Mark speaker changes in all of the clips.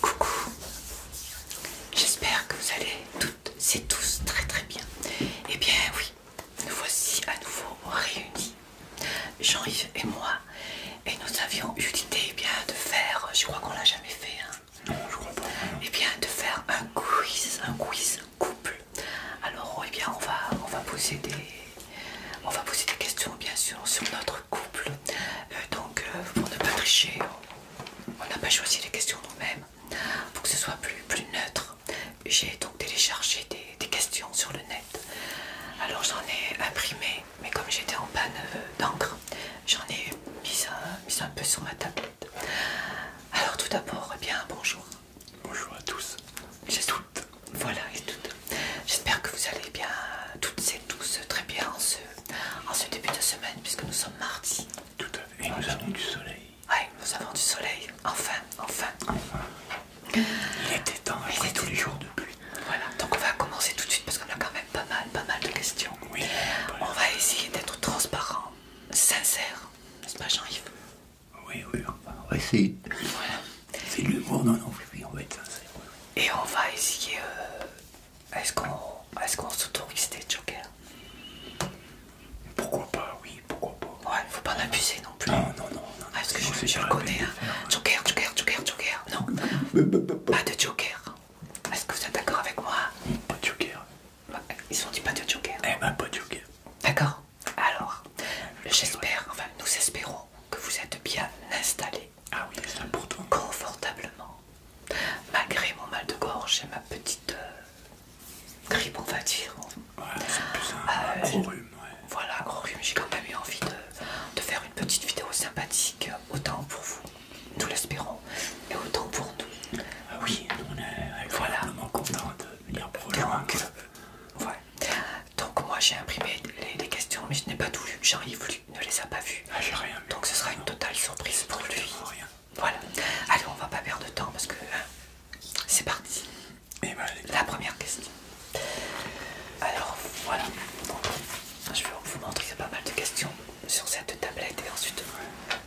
Speaker 1: Coucou, j'espère que vous allez toutes et tous très très bien. Eh bien oui, nous voici à nouveau réunis, Jean-Yves et moi, et nous avions eu l'idée eh bien de faire, je crois qu'on l'a jamais fait, hein. non, je crois pas. Eh bien de faire un quiz, un quiz couple. Alors oh, eh bien on va, on va poser des, on va poser des questions bien sûr sur notre couple. Euh, donc, euh, pour ne pas tricher, on n'a pas choisi les questions nous-mêmes. Pour que ce soit plus, plus neutre, j'ai donc téléchargé des, questions sur le net. Alors, j'en ai imprimé, mais comme j'étais en panne euh, d'encre, j'en ai mis un, peu sur ma tablette. Alors, tout d'abord, eh bien, bonjour. Bonjour à tous. Voilà, et J'espère que vous allez bien, toutes et tous, très bien en ce en ce début de semaine, puisque nous sommes mardi. Tout à fait. Et nous avons du soleil. Oui, nous avons du soleil. Enfin, enfin. Enfin. Il était temps après tous les jours de pluie. Voilà, donc on va commencer tout de suite parce qu'on a quand même pas mal, pas mal de questions. Oui. On va essayer d'être transparent, sincère. N'est-ce pas Jean-Yves Oui, oui, on va essayer. C'est l'humour, non, non, oui, on va être sincère. Et on va essayer euh, est-ce qu'on est qu'on s'autorise des jokers Pourquoi pas, oui, pourquoi pas. Ouais, faut pas en abuser non plus. Non, non, non. non Est-ce que je, je le connais hein. hein. Joker, joker, joker, joker. Non. pas de joker. Est-ce que vous êtes d'accord avec moi Pas de joker. Ils ont dit pas de joker. Eh ben, pas de joker. D'accord. Alors, j'espère, enfin, nous espérons que vous êtes bien installés ah oui, ça pour toi. Confortablement. Malgré mon mal de gorge et ma petite euh, grippe, on va dire. Euh, gros rhume. Voilà, gros rhume. J'ai quand même eu envie de, de faire une petite vidéo sympathique, autant pour vous, nous l'espérons, et autant pour nous. Ah oui, on est voilà. contents de venir pour Donc, Donc moi j'ai imprimé les, questions, mais je n'ai pas tout vu j'en voulu ne les a pas vus. Ah, rien Donc ce sera une totale surprise pour lui. Voilà. Allez, on va pas perdre de temps parce que hein, c'est parti. Et eh ben, La première question. Alors voilà. je vais vous montrer pas mal de questions sur cette tablette et ensuite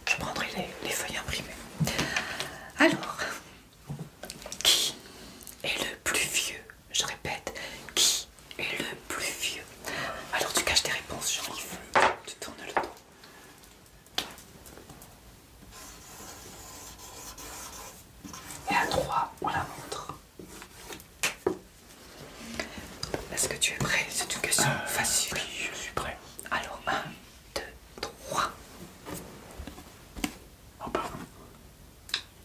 Speaker 1: je prendrai les, les feuilles imprimées. Alors, qui est le plus vieux Je répète, qui et le plus vieux. Alors tu caches tes réponses, Jean-Yves. Tu tournes le dos. Et à 3, on la montre. Est-ce que tu es prêt C'est une question euh, facile. je suis prêt. Alors, 1, 2, 3. Oh,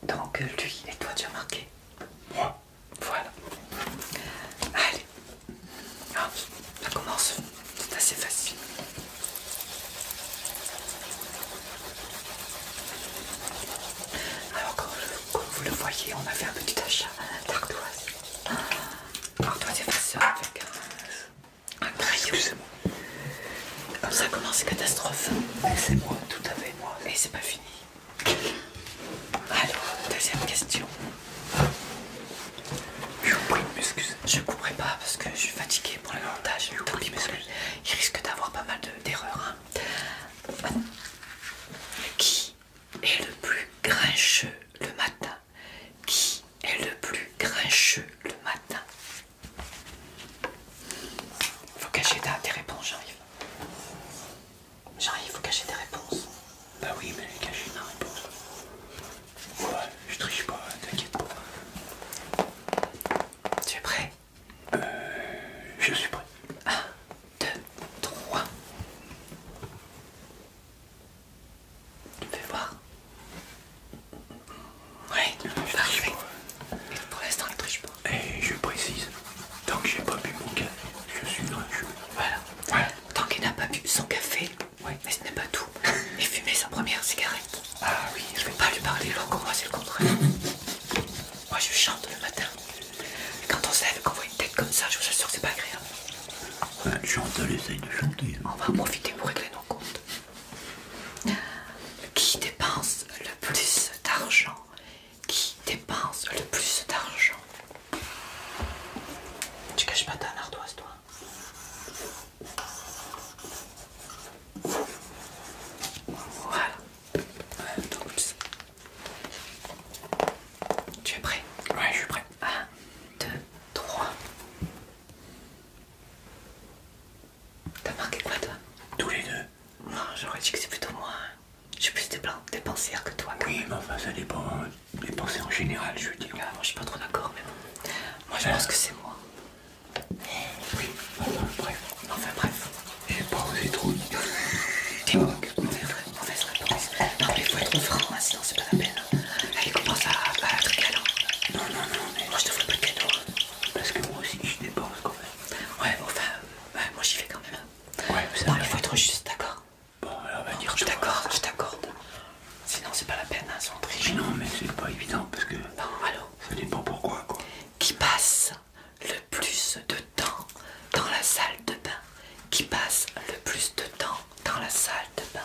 Speaker 1: Donc, lui et toi, tu as marqué Moi voilà. Allez. Ah, ça commence. C'est assez facile. Alors comme, vous le voyez, on a fait un petit achat d'ardoise. Ardoise effaceur avec un, crayon. Excusez-moi. Comme ça commence catastrophe. catastrophique, c'est moi, tout à fait moi. Et c'est pas fini. Alors, deuxième question. Je ne couperai pas parce que je suis fatiguée pour le montage. Tant pis Il risque d'avoir pas mal d'erreurs. Hein. Qui est le plus grincheux le matin Qui est le plus grincheux le matin Faut cacher ta, réponse. réponses, j'arrive. J'arrive, il faut cacher des réponses. Bah oui, mais cacher ma réponse. Ouais, je triche pas, t'inquiète pas. Tu es prêt Euh. Je suis prêt. 1, 2, 3. Tu me fais voir Ouais, je triche pas. pour l'instant, ne triche pas. Et eh, je précise, Tant que j'ai pas bu mon café, je suis Voilà. voilà. Tant qu'il n'a pas bu son café, mais ce n'est pas tout. Il fumait sa première cigarette. Ah oui. Je ne vais pas lui parler longtemps, moi c'est le contraire. moi je chante le matin. quand on sève, qu'on voit une tête comme ça, je vous assure que c'est pas agréable. Chante, elle essaye de chanter. Hein. On va en profiter pour régler nos comptes. Qui dépense le plus d'argent qui dépense le plus d'argent. Tu caches pas ta ardoise, toi Voilà. tout ça tu es prêt Ouais, je suis prêt. 1, 2, 3. T'as marqué quoi, toi Tous les deux. Non, j'aurais dit que c'est plutôt moi. Hein. J'ai plus de des pensées que toi. oui, mais enfin, ça dépend euh, des pensées en général, je veux dire. Ah, moi, je suis pas trop d'accord, mais bon. Moi, je pense que c'est moi. Oui, enfin, bref. Enfin, bref. J'ai pas osé trop dire. Dis-moi, mauvaise réponse. Non, mais faut être franc, hein, sinon c'est pas la peine. Allez, commence à, à être galant. Non, non, non, mais moi, je te ferai pas de cadeau. Parce que moi aussi, je dépense quand même. Ouais, enfin, euh, moi, j'y vais quand même. Ouais, mais non, il faut être juste, d'accord Bon, elle va dire. Je t'accorde, je t'accorde. Sinon, c'est pas la peine, hein, sans tricher. non, mais c'est pas évident parce que. Non, alors. Ça dépend pourquoi, quoi. Qui passe le plus de temps dans la salle de bain Qui passe le plus de temps dans la salle de bain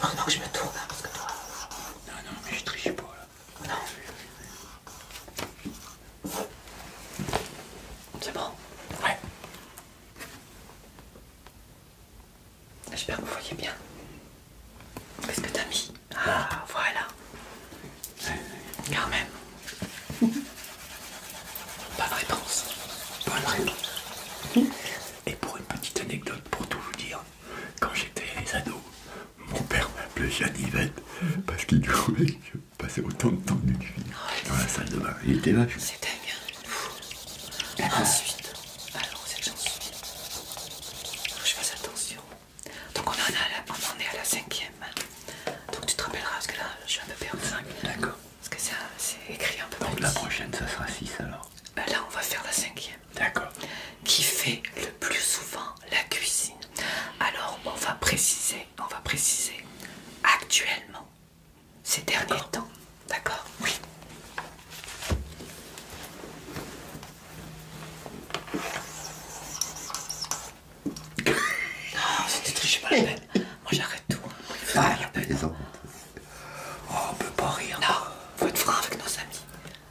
Speaker 1: non, je me tourne hein, euh, Non, non, mais je triche pas là. Non. C'est bon Ouais. J'espère que vous voyez bien. Qu'est-ce que t'as mis Ah, voilà. Car même. de réponse. Pas de réponse. Et pour une petite anecdote, pour tout vous dire, quand j'étais ados mon père m'appelait Janivette parce qu'il jouait que passer autant de temps d'une fille dans la salle de bain. Il était là. C'était bien. Hein, ah, ensuite, alors c'est que Faut que je fasse attention. Donc on en, on est à la cinquième. Donc tu te rappelleras parce que là je suis un peu perdu. D'accord. Parce que c'est écrit un peu Donc la prochaine ça sera 6 alors. Ben là on va faire la cinquième. D'accord. Qui fait le plus souvent la cuisine. Alors on va préciser on va préciser actuellement, ces derniers temps. D'accord Oui. non, ah, c'était triché par la Moi j'arrête tout. la ah, oh, on peut pas rire. Non, faut être franc avec nos amis.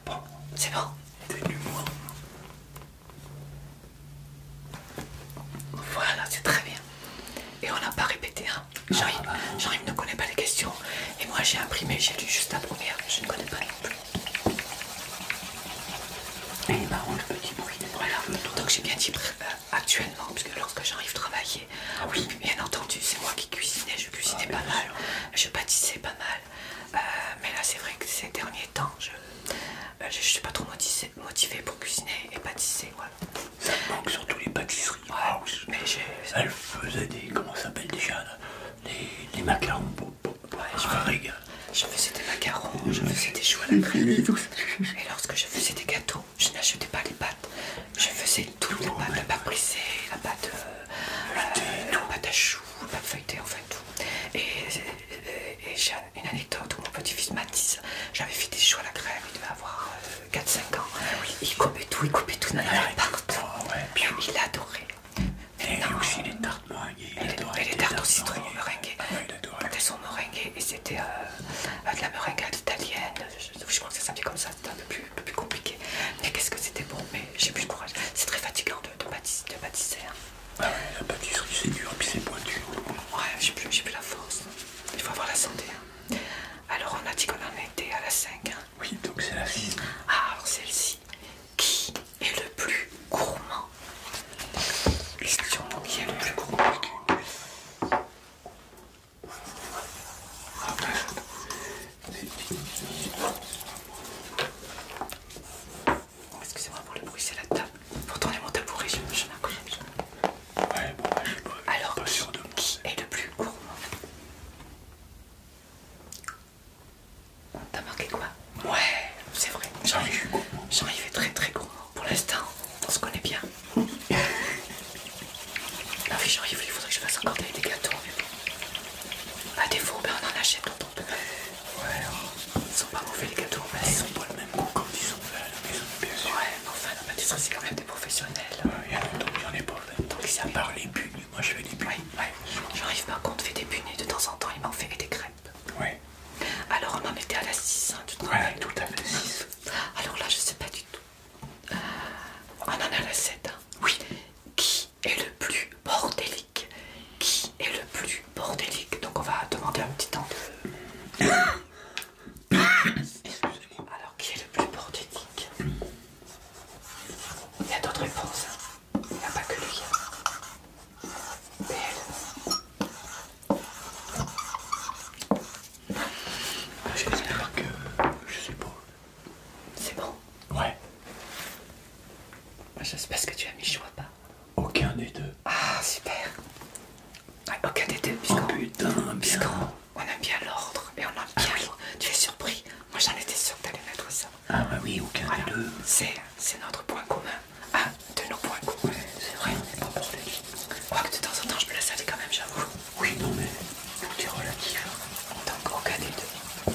Speaker 1: Bon, c'est bon. T'es moi. Voilà, c'est très bien. Et on n'a pas répété. Hein. j'arrive ah, ah, ah. Jean-Yves ne connaît pas les questions. Et moi j'ai imprimé, j'ai lu juste la première. Je ne connais pas non plus. Et il marrant le petit bruit. Donc j'ai bien dit euh, actuellement parce que lorsque j'arrive travailler, oui, bien entendu, c'est moi qui cuisinais. Je cuisinais pas mal, je pâtissais pas mal. Euh, mais là c'est vrai que ces derniers temps, je ne euh, je, suis pas trop modissée motivé pour cuisiner et pâtisser. Voilà. Ça manque surtout les pâtisseries. j'ai mais Elle faisait des. Comment ça s'appelle déjà les, les macarons. Ouais, je, me je faisais des macarons, je faisais des choux à la Et, lorsque je faisais des gâteaux, je n'achetais pas les pâtes. Je faisais toutes tout les pâtes, la pâte brisée, la pâte, euh, euh, la pâte à choux, la pâte feuilletée, en fait tout. Et et, j'ai une anecdote où mon petit-fils Mathis, j'avais fait des choux à la crème, il devait avoir 4-5 euh, ans. Il coupait tout, il coupait tout dans la partout. il adorait. Et non, aussi les tartes meringuées. Et, les tartes au citron meringuées. Elles sont meringuées ah et c'était euh, de la meringue à l'italienne. Je, je crois que ça s'appelait comme ça, c'était un peu plus, plus compliqué. Mais qu'est-ce que c'était bon, mais j'ai plus le courage. C'est très fatigant de, de, de bâtisser. Hein. Ah oui, la pâtisserie c'est dur, puis c'est pointu. Ouais, j'ai plus, plus la force. Il faut avoir la santé. Hein. Alors on a dit qu'on en était à la 5. Hein. Oui, donc c'est la 6. Ah, alors celle-ci. Qui est le plus gourmand Question, qui est le plus gourmand ah, ben, Excusez-moi pour le bruit, c'est la table. Pour tourner mon tabouret, je, m'accroche. Ouais, bon, bah, je suis pas, Alors, pas sûr de Qui est le plus gourmand T'as marqué quoi Ouais, c'est vrai. Ah Jean-Yves Jean est très très gourmand. Pour l'instant, on se connaît bien. non, j'en ai vu, il faudrait que je fasse encore des gâteaux avec vous. A défaut, ben, on en achète, on peut. Ouais, ils sont pas mauvais les gâteaux, mais ils sont pas le même goût comme ils sont faits, à la maison, bien Ouais, mais enfin, la c'est quand même des professionnels. Il y en a d'autres, en ai pas fait. Donc à part les moi je fais des bunnies. Ouais, ouais. J'arrive par contre, fait des punis de temps en temps, ils m'ont fait des crêpes. Ouais. Alors on en était à la 6, hein, tu te Ouais, tout à fait 6. Ah, alors là, je sais pas du tout. Euh, on en a la 7. Hein. Oui. Qui est le plus bordélique Qui est le plus bordélique. Donc on va demander un petit temps de... Excusez-moi. Alors qui est le plus bordélique Il y a d'autres réponses. Hein. Il n'y a pas que lui. Hein. Mais elle. J'espère que euh, je suis beau. C'est bon Ouais. J'espère que tu as mis choix pas. Aucun des deux. Ah, super. aucun des deux, oh, putain, bien. on, aime bien l'ordre et on a ah bien Tu es surpris Moi j'en étais sûr que tu allais mettre ça. Ah, bah oui, aucun des deux. C'est notre point commun. Un de nos points communs. c'est vrai, on n'est pas pour crois de temps en temps je me la savais quand même, j'avoue. Oui, non, mais tout est relatif. Donc, aucun des deux.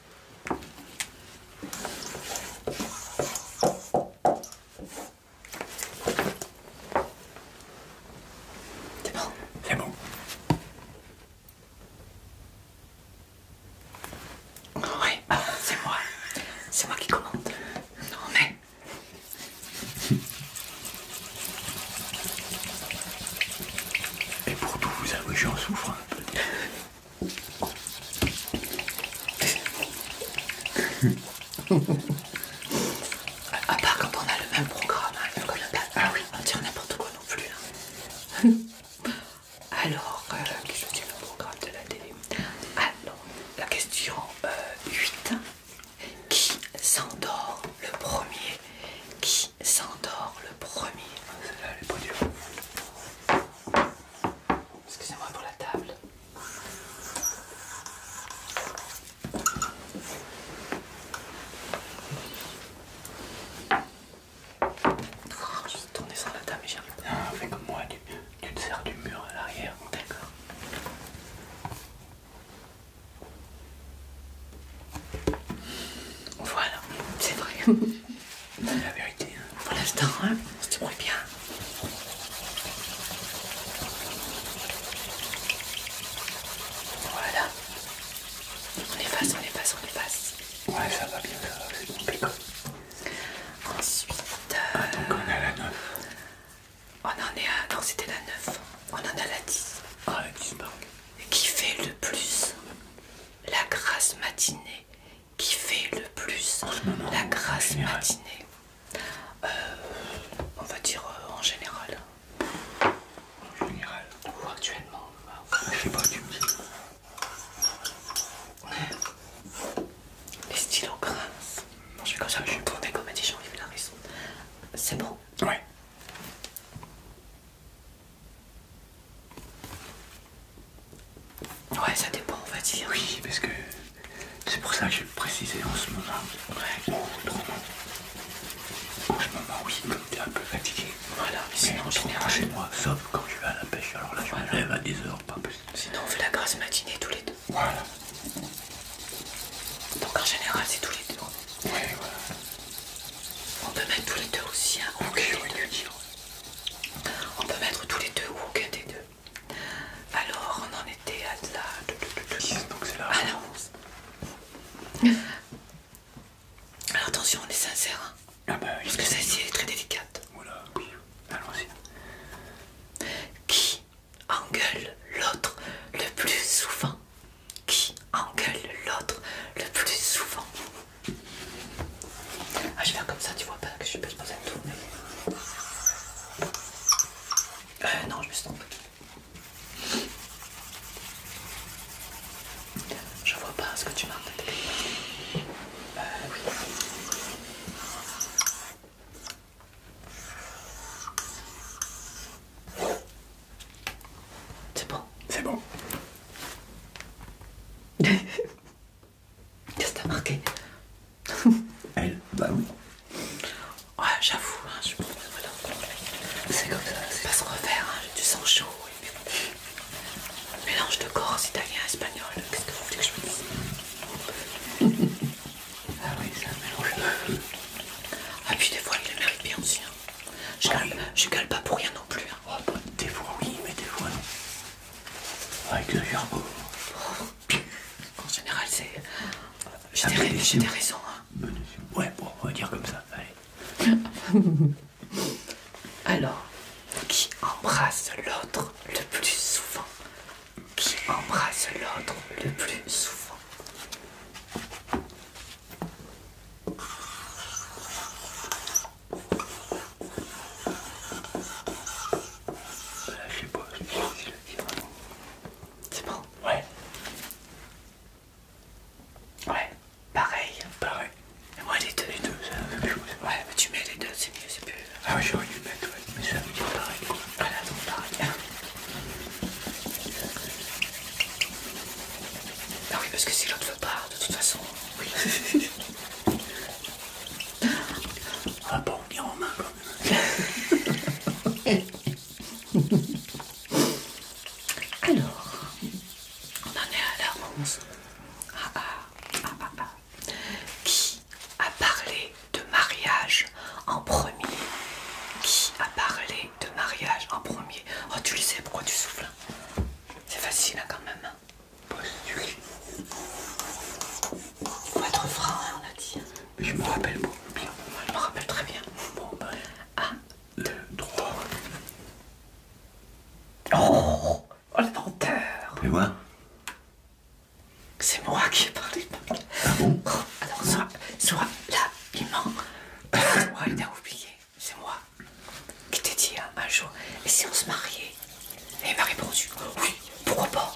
Speaker 1: C'est bon C'est bon. c'est moi. C'est moi qui commande. Non mais... Et pour tout vous avouer, j'en souffre un hein. peu. à part quand on a le même programme, hein, ah oui. on tire n'importe quoi non plus. Hein. Alors, euh, qu'est-ce que le programme de la télé Ah la question 8. Euh, Qui s'endort le premier Qui s'endort le premier. Ah, celle-là, elle est Excusez-moi pour la table. je vais tourner sur la table et j'arrive Un comme moi, tu te sers du mur à l'arrière. D'accord. Voilà, c'est vrai. la vérité. Hein. Voilà, Pour l'instant, on se débrouille bien. Voilà. On efface, on efface, on efface. Ouais, ça va bien, ça va, c'est bon, Ensuite. Euh, ah, donc on a la 9. On en est à. Non, c'était la 9. On en a la 10. Ah, la 10, Qui fait le plus la grâce matinée qui fait le plus la grâce matinée. Euh, on va dire euh, en général. En général. Ou actuellement. Je sais pas, du me Les stylos grincent. je suis comme ça je tourner comme a dit jean la raison. C'est bon Ouais. Ouais, ça dépend, on va dire. Oui, parce que c'est pour ça que je précisais en ce moment. Ouais. Ou en ce moment, oui, comme t'es un peu fatigué. Voilà, mais c'est en général. chez moi, sauf quand tu vas à la pêche, alors là, je me lève à 10h, pas plus. Sinon, on fait la grasse matinée tous les deux. Voilà. Donc, en général, c'est tous les deux. Ouais, voilà. On peut mettre tous les deux aussi, hein, aucun des On peut mettre tous les deux ou aucun des deux. Alors, on en était à de la... Donc c'est là. Ah, Alors, attention, on est sincère. Hein. ah bah, parce que celle-ci, est très délicate. Voilà, oui. Allons-y. Qui engueule l'autre le plus souvent qui engueule l'autre le plus souvent. Ah, je vais faire comme ça, tu vois pas que je peux pas poser me tourner. Euh, non, je me suis Je vois pas ce que tu marques. Euh, oui. C'est bon. C'est bon. Qu'est-ce que t'as marqué Elle Bah oui. Ouais, j'avoue, hein, je C'est comme ça. C'est pas se refaire, hein, j'ai du sang chaud. Mélange de corse, italien, espagnol. Qu'est-ce que vous voulez que je me dise Ah oui, c'est un mélange. Ah puis des fois, il les mérite bien aussi. Hein. Je gueule, pas pour rien non plus. Hein. Oh, bah, des fois oui, mais des fois non. Avec le oh. en général, c'est. J'ai des raisons. Ouais, bon, on va dire comme ça. Allez. Alors, qui embrasse l'autre le plus souvent Qui embrasse l'autre le plus souvent Là, euh, je sais pas, c'est C'est bon Ouais. Ouais, pareil. Pareil. Et moi, les deux. Les deux, c'est la même chose. Ouais, mais tu mets les deux, c'est mieux, c'est plus. Euh, ah, oui, j'aurais dû mettre, ouais. Mais ça veut dire pareil, Voilà, donc pareil. Ah bah oui, parce que c'est l'autre part, de toute façon, ah on bon, pas en main quand même. Alors, on en est à la 11. Ah, ah, Qui a parlé de mariage en premier Qui a parlé de mariage en premier Oh, tu le sais, pourquoi tu souffles hein? C'est facile hein, quand même. Hein. Postule. Faut être franc, hein, on a dit. Hein. Je me rappelle beaucoup bien. je me rappelle très bien. Bon, ben, un, deux, trois. Oh, oh le menteur. moi C'est moi qui ai parlé. Ah bon oh, Alors, soit, soit là, il ment. Soit il a oublié c'est moi qui t'ai dit hein, un jour, et si on se mariait Et il m'a répondu, oui, pourquoi pas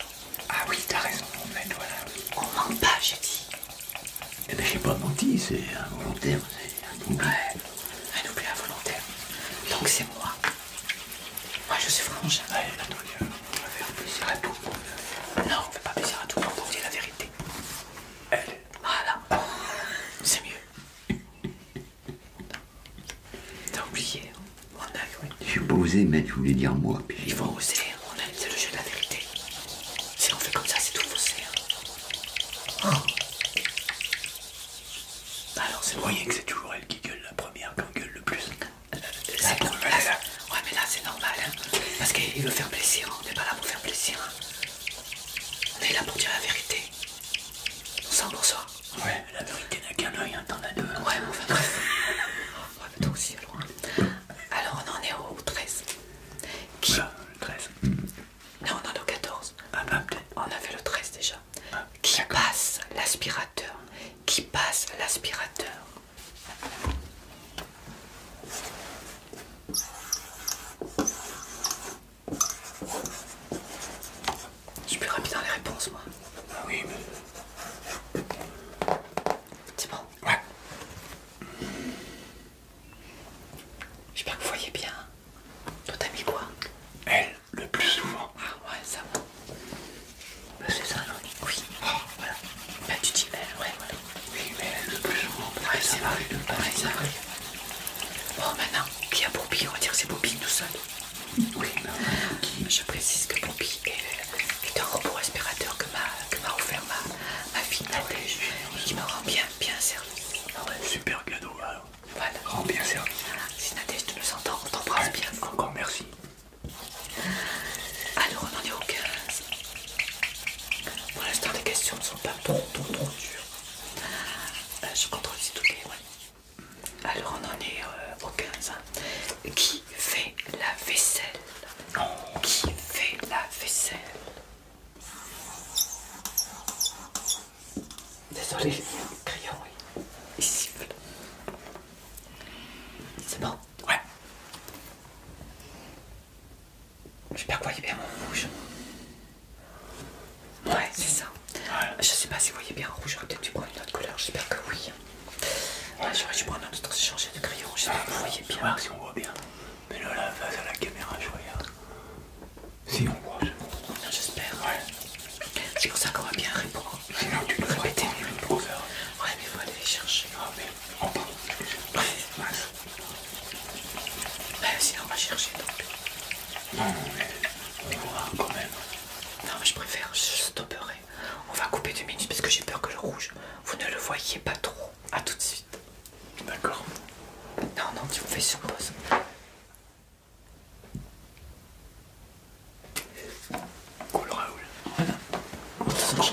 Speaker 1: Ah oui, t'as raison, On fait, voilà. On pas, j'ai dit. et eh ben j'ai pas menti, c'est involontaire, c'est un oubli. un oubli involontaire. Donc c'est moi. Moi je suis franche. Allez, on va faire plaisir à tout le monde. Non, on fait pas plaisir à tout le monde, on dit la vérité. Elle. Voilà. C'est mieux. T'as oublié, hein. on a cru. Je suis pas osé, mais tu voulais dire moi. Puis... Il faut oser, hein. on a... c'est le jeu de la vérité. Si on fait comme ça, c'est tout faussé. Hein. Ah. Alors c'est moyen que c'est toujours elle qui gueule la première, qui gueule le plus. Euh, ah, c'est normal. Ouais, mais là c'est normal, parce qu'il veut faire plaisir, on n'est pas là pour faire plaisir. on est là pour dire la vérité. Ça, on en Ouais, Ouais, l'américaine a qu'un œil, hein, t'en as deux. Ouais, mais enfin bref. ouais, toi aussi, alors. Hein. Alors, on en est au 13. Qui le 13. Non, on en est au 14. Ah bah, peut-être. On a fait le 13 déjà. Ah, qui passe l'aspirateur Qui passe l'aspirateur je suis plus rapide dans les réponses, moi. Ah oui, mais. C'est bon Ouais. J'espère que vous voyez bien. Toi, t'as mis quoi Elle, le plus souvent. Ah ouais, ça va. Bah, c'est ça, non Oui. Ah, voilà. Bah, tu dis elle, euh, ouais, voilà. Oui, mais elle, le plus souvent. Ouais, c'est vrai. Ouais, c'est vrai. Bon, oh, maintenant, qui a Poppy On va dire c'est Poppy tout seul. Oui, Je précise que Bobby est, un robot respirateur que m'a offert ma, fille Nadège ah Et qui me rend bien, bien service. Ah super cadeau, hein. Voilà. Rend bien service. Si Nadège, tu nous entends, on t'embrasse bien. Encore merci. Alors, on en est au 15. Pour l'instant, les questions ne sont pas trop, trop, trop dures. Euh, je contrôle tout les. Ouais. Alors on en est euh, au 15. Hein. Qui fait la vaisselle qui fait la vaisselle Désolé, crayon, oui. Il siffle. C'est bon Ouais. J'espère pas vous voyez bien mon rouge. Ouais, c'est ça. Je sais pas si vous voyez bien en rouge, j'aurais peut-être dû prendre une autre couleur, j'espère que oui. Ouais, j'aurais dû prendre un autre, j'ai changé de crayon, j'espère que vous voyez bien. si on voit bien. Mais là, la face à la caméra, je regarde. Si on voit, J'espère. Ouais. C'est pour ça qu'on va bien répondre. Sinon, tu peux tu le trouves. Ouais, mais il faut aller chercher. Ah, mais on sinon, on va chercher non, mais je préfère, je stopperai. On va couper deux minutes parce que j'ai peur que le rouge, vous ne le voyez pas trop. A tout de suite. D'accord. Non, non, tu me fais sur pause. Cool Raoul. Voilà.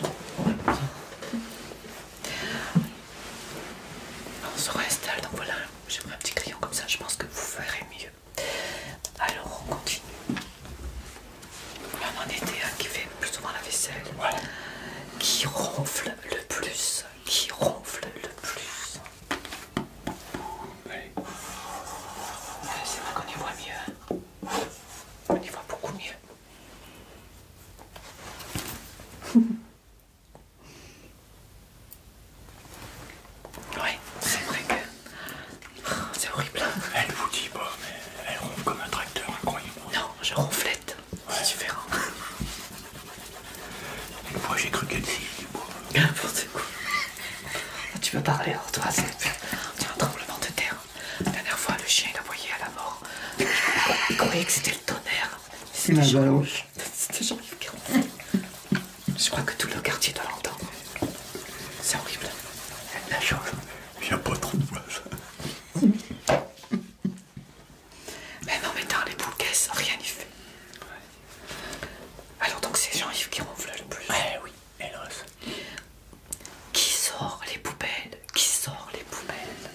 Speaker 1: On se réinstalle, donc voilà, j'ai un petit crayon comme ça, je pense que vous ferez mieux. Alors on continue. Maman on en était un qui fait plus souvent la vaisselle. Qui ronfle le plus. Qui ronfle le plus. Allez. Euh, c'est vrai qu'on y voit mieux. Hein. On y voit beaucoup mieux. Ouais, c'est vrai que c'est horrible. Elle vous dit pas, mais elle ronfle comme un tracteur, incroyable. Non, je ronflette, c'est différent. Une fois j'ai cru qu'elle s'y du N'importe quoi. Tu peux parler, alors toi, c'est un tremblement de terre. La dernière fois, le chien l'a voyait à la mort. Il croyait que c'était le tonnerre. C'est ma balance. C'est Jean-Yves Je crois que tout le quartier doit l'entendre. C'est horrible. La Il n'y a pas trop de Mais non, mais mettant les boules caisses, rien n'y fait. Alors donc c'est Jean-Yves qui ronfle le plus. Ouais, oui, hélas. Qui sort les poubelles Qui sort les poubelles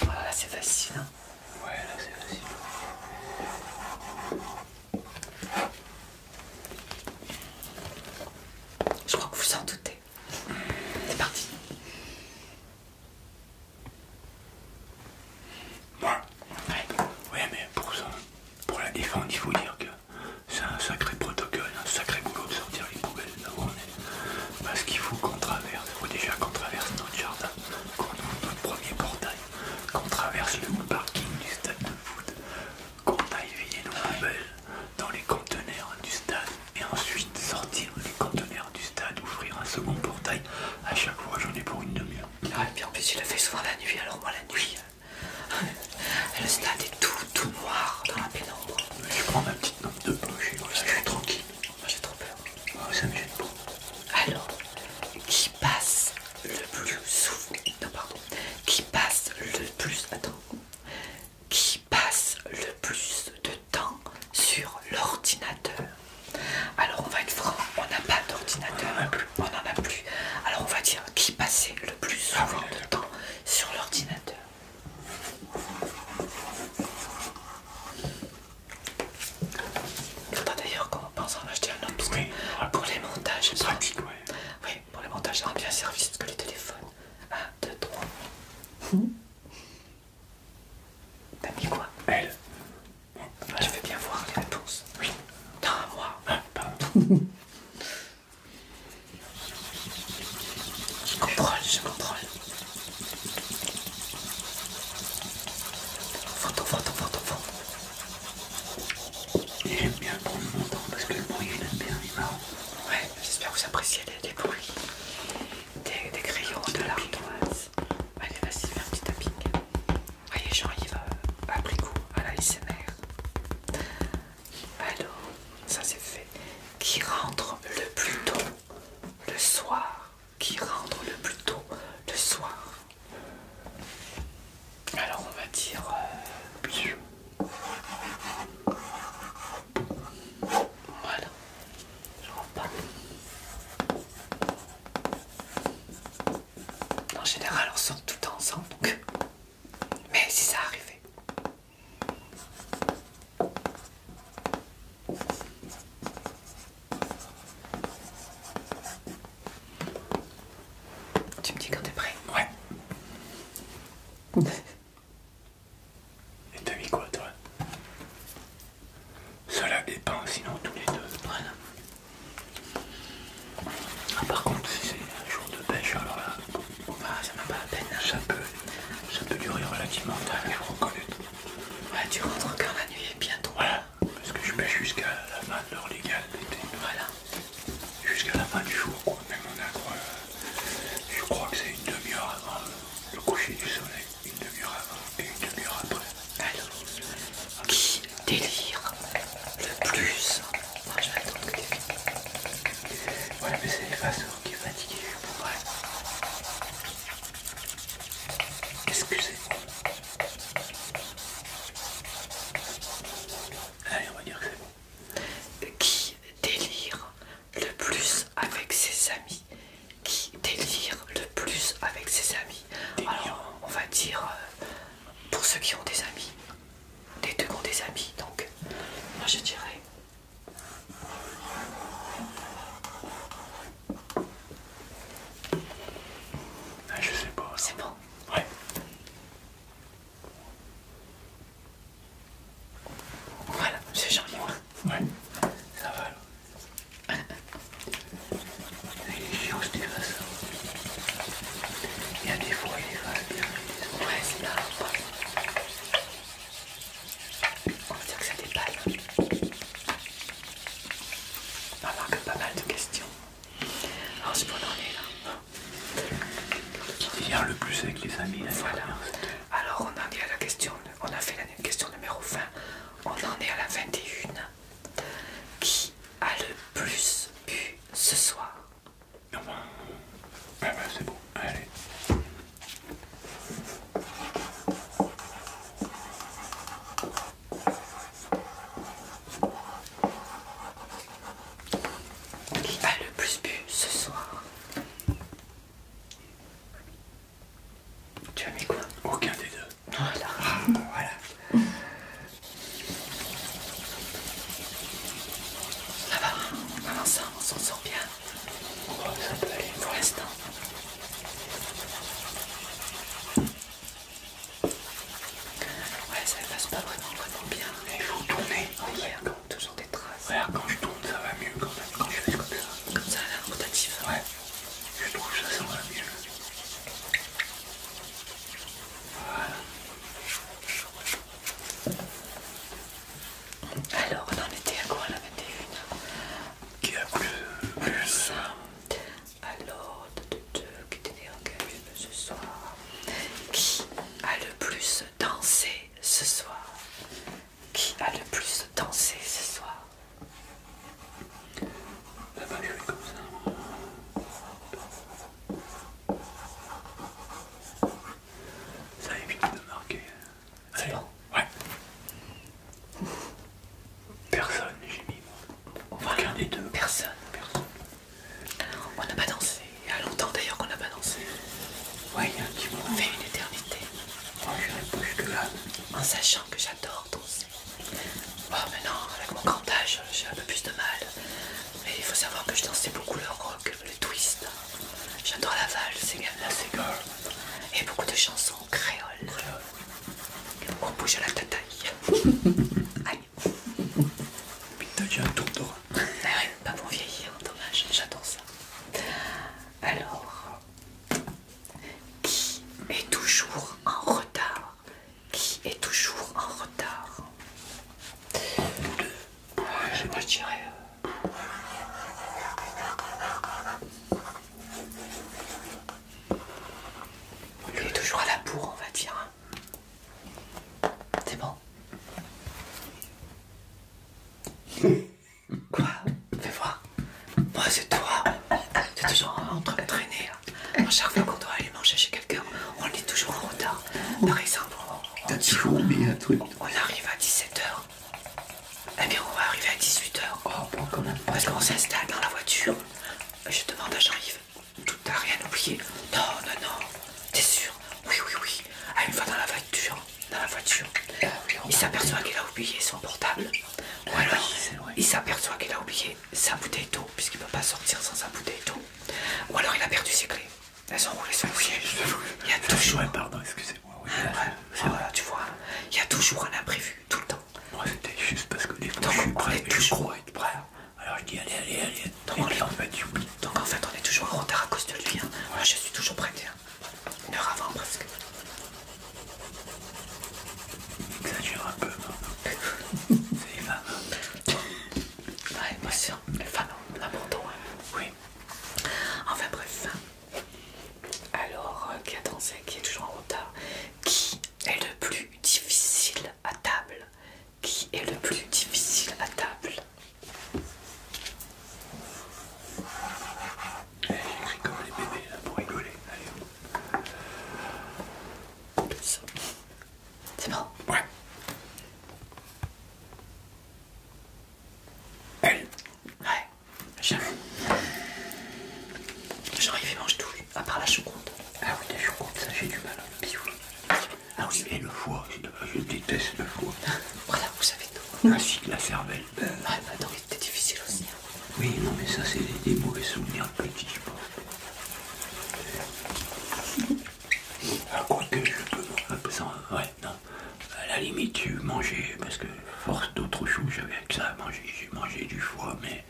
Speaker 1: Voilà, oh c'est fascinant. Hein. Ouais, là c'est Je crois que vous en doutez. C'est parti. Moi, ouais. mais pour pour la défendre, il faut dire que c'est un sacré protocole, un sacré boulot de sortir les poubelles là où on Parce qu'il faut qu'on traverse, il faut déjà qu'on traverse notre jardin, qu'on ouvre notre premier portail qu'on traverse le parking du stade de foot, qu'on aille vider nos poubelles dans les conteneurs du stade et ensuite sortir les conteneurs du stade, ouvrir un second portail. À chaque fois, j'en ai pour une demi-heure. Ah, et puis en plus, il a fait souvent la nuit, alors moi, la nuit, euh, le stade est tout, tout noir dans la pénombre. Je prends ma petite lampe de poche, je suis tranquille. Moi, j'ai trop peur. Ah ça me gêne pas. Alors, qui qui passe le plus souvent. pardon. Qui passe le plus. Attends. Qui passe le plus de temps sur l'ordinateur. Alors on va être franc, on n'a pas d'ordinateur, on n'en a plus. Alors on va dire qui passait le plus ah, souvent de temps sur l'ordinateur. Il faudra d'ailleurs qu'on pense en acheter un autre pour les montages, c'est pratique. Ouais. Oui, pour les montages, ça rend bien service que les téléphones. 1, deux, trois T'as mis quoi Elle. Ah, je vais bien voir les réponses. Oui. Non, moi. Ah, je contrôle, je contrôle. Photo, photo, photo, photo j'aime bien prendre mon temps parce que le bruit il est bien, il est marrant. Ouais, j'espère que vous appréciez les, bruits des, crayons de l'ardoise. Allez, vas-y, fais un petit tapping. Allez Jean-Yves a à la SMR. Alors, ça c'est fait. Qui rentre le plus tôt le soir qui rentre le plus tôt le soir. Alors on va dire euh, voilà, je rentre pas. En général, on sort tout ensemble, donc. mais si ça arrivait. Tu me dis quand t'es prêt Ouais. Et t'as mis quoi toi Cela dépend, sinon tous les deux. Voilà. Ah, par contre, si c'est un jour de pêche, alors là, ah, ça m'a pas peine. Hein. Ça peut, ça peut durer relativement longtemps, Ouais, tu rentres quand la nuit est bien parce que je mets jusqu'à la fin de l'heure légale Voilà. Jusqu'à la fin du jour, quoi. Même on a euh, je crois que c'est une demi-heure avant le coucher du soleil, une demi-heure avant et une demi-heure après. Alors, qui délire le plus Moi je vais attendre. Ouais, mais c'est l'effaceur qui est fatigué, je Excusez-moi. Allez, on va dire que Qui délire le plus avec ses amis Qui délire le plus avec ses amis Alors, on va dire euh, pour ceux qui ont des amis, les deux ont des amis, donc moi je dirais. Ah, je sais pas. C'est bon. Ouais. Voilà, c'est joli. Ouais. Ça va alors. Il est chiant ce dégueulasse. Il y a des fois, il est pas bien. Il est... Ouais, c'est là. On va dire que ça déballe. On a encore pas mal de questions. Alors oh, c'est bon, on est là. Qui vient le plus avec les amis hein, Voilà. Alors on en est à la question, on a fait la question numéro 20, on en est à la 21. Qui a le plus bu ce soir ah bah, ah bah, c'est bon, allez. Qui a le plus bu ce soir Tu as mis quoi Aucun des deux. Voilà. voilà. Là-bas. va, on s'en sort bien. ça peut aller pour l'instant. Ouais, ça passe pas vraiment, vraiment bien. Il faut tourner. Il toujours des traces. Regarde, quand je tourne, ça va mieux quand même. Quand je fais comme ça. Comme ça, l'air rotatif Ouais, je trouve que ça, ça va mieux. Voilà. Alors, on en était à quoi la Qui a plus. plus. Euh, à l'ordre de deux qui étaient engagés ce soir. Qui a le plus dansé ce soir Qui a le plus dansé ce soir La pas comme ça. Ça évite de marquer. C'est bon Ouais. Personne, j'ai mis moi. Voilà. deux. Personne. On n'a pas dansé. Il y a longtemps d'ailleurs qu'on n'a pas dansé. Ouais, il y a un petit moment. fait une éternité. Oh, en sachant que j'adore danser. Bon, oh, maintenant, avec mon grand âge, j'ai un peu plus de mal. Mais il faut savoir que je dansais beaucoup le rock, le twist. J'adore la valse c'est Et beaucoup de chansons créoles. On bouge à la tataille. Aïe. Putain, j'ai un tour de Ah pas pour vieillir, dommage, j'adore ça. Alors, qui est toujours en retard Qui est toujours en retard Deux. Je je dirais. tirer euh, il est toujours à la bourre, on va dire. Hein. C'est bon. Quoi Fais voir. Moi, c'est toi. T'es toujours en train de traîner. chaque fois qu'on doit aller manger chez quelqu'un, on est toujours en retard. Par exemple, on, on arrive à 17h. Eh bien, on va arriver à 18h. Oh, Parce qu'on s'installe dans la voiture. Je demande à j'arrive. T'as rien oublié Non, non, non. T'es sûr Oui, oui, oui. Ah, une fois dans la voiture. Dans la voiture. Ah, il s'aperçoit qu'il a oublié son portable. Ou ah, alors, il s'aperçoit qu'il a oublié sa bouteille d'eau, puisqu'il ne peut pas sortir sans sa bouteille d'eau. Ou alors, il a perdu ses clés. Elles sont roulées sur a ah, tu vois, il y a toujours un imprévu tout le temps. Moi c'était juste parce que les fois je prêt, crois être prêt. Hein. Alors je dis allez, allez, allez. et on puis en Donc en fait on est toujours en retard à cause de lui. Hein. Moi je suis toujours prêt. Hein. Une heure avant presque. Ça exagère un peu. C'est les femmes. Ouais, moi sûr. Les femmes où. l'abandon. Oui. Enfin bref. Alors, euh, qui a dansé, qui est toujours en retard, qui est le plus difficile à table Qui est le plus difficile à table Elle eh, écrit comme les bébés pour rigoler. Allez. C'est bon Ouais. Elle Ouais, j'avoue. Genre, il mange tout. Ah À part la choucroute. Ah oui, la choucroute, ça j'ai du mal. Bisous. Ah oui, mais le foie, je, déteste le foie. voilà, vous savez tout. la cervelle. Ah bah c'était difficile aussi. Hein. Oui, non, mais ça, c'est des, mauvais souvenirs petits, je pense. ah, je peux. ouais, non. À la limite, j'ai mangé, parce que force d'autres choux, j'avais que ça à manger. J'ai mangé du foie, mais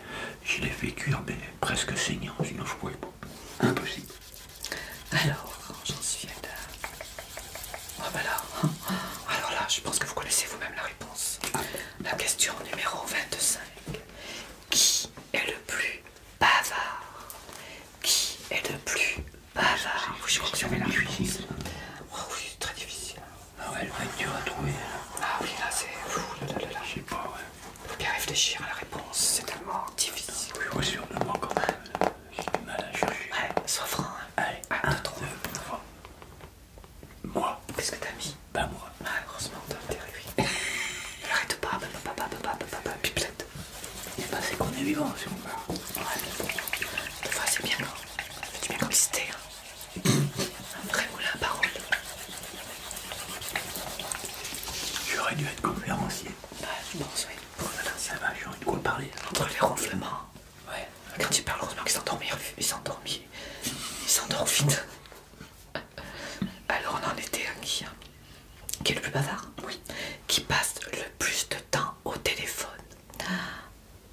Speaker 1: je l'ai fait cuire, presque saignant, sinon je pouvais pas. Impossible. Alors, j'en suis à l'heure. Oh ah, bah ben là. Alors là, je pense que vous connaissez vous-même la réponse. La question numéro 25. Qui est le plus bavard Qui est le plus bavard je Vous savez la réponse. Hein. Oh très difficile. Ah ouais, elle va être dure à trouver. Là. Ah oui, là c'est fou, sais pas, ouais bien réfléchir à la réponse, c'est tellement difficile. Oui, oui, sûrement quand même. J'ai du mal à chercher. Ouais, sois franc. Hein. Allez, 1, ah, Moi. Qu'est-ce que t'as mis Ben moi. Ah, heureusement, t'as intérêt, pas, papa, c'est qu'on est vivant, si bon. c'est bien, c'est bien hein. un vrai moulin à parole. J'aurais dû être conférencier. Ouais, bah, je pense, Bon, ça va, j'aurais de quoi parler. Entre les ronflements. Ouais. Quand ils parlent heureusement qu'ils qu'il s'endormit. Il s'endormit. Il vite. Alors, on en était un qui, hein qui est le plus bavard. Oui. Qui passe le plus de temps au téléphone.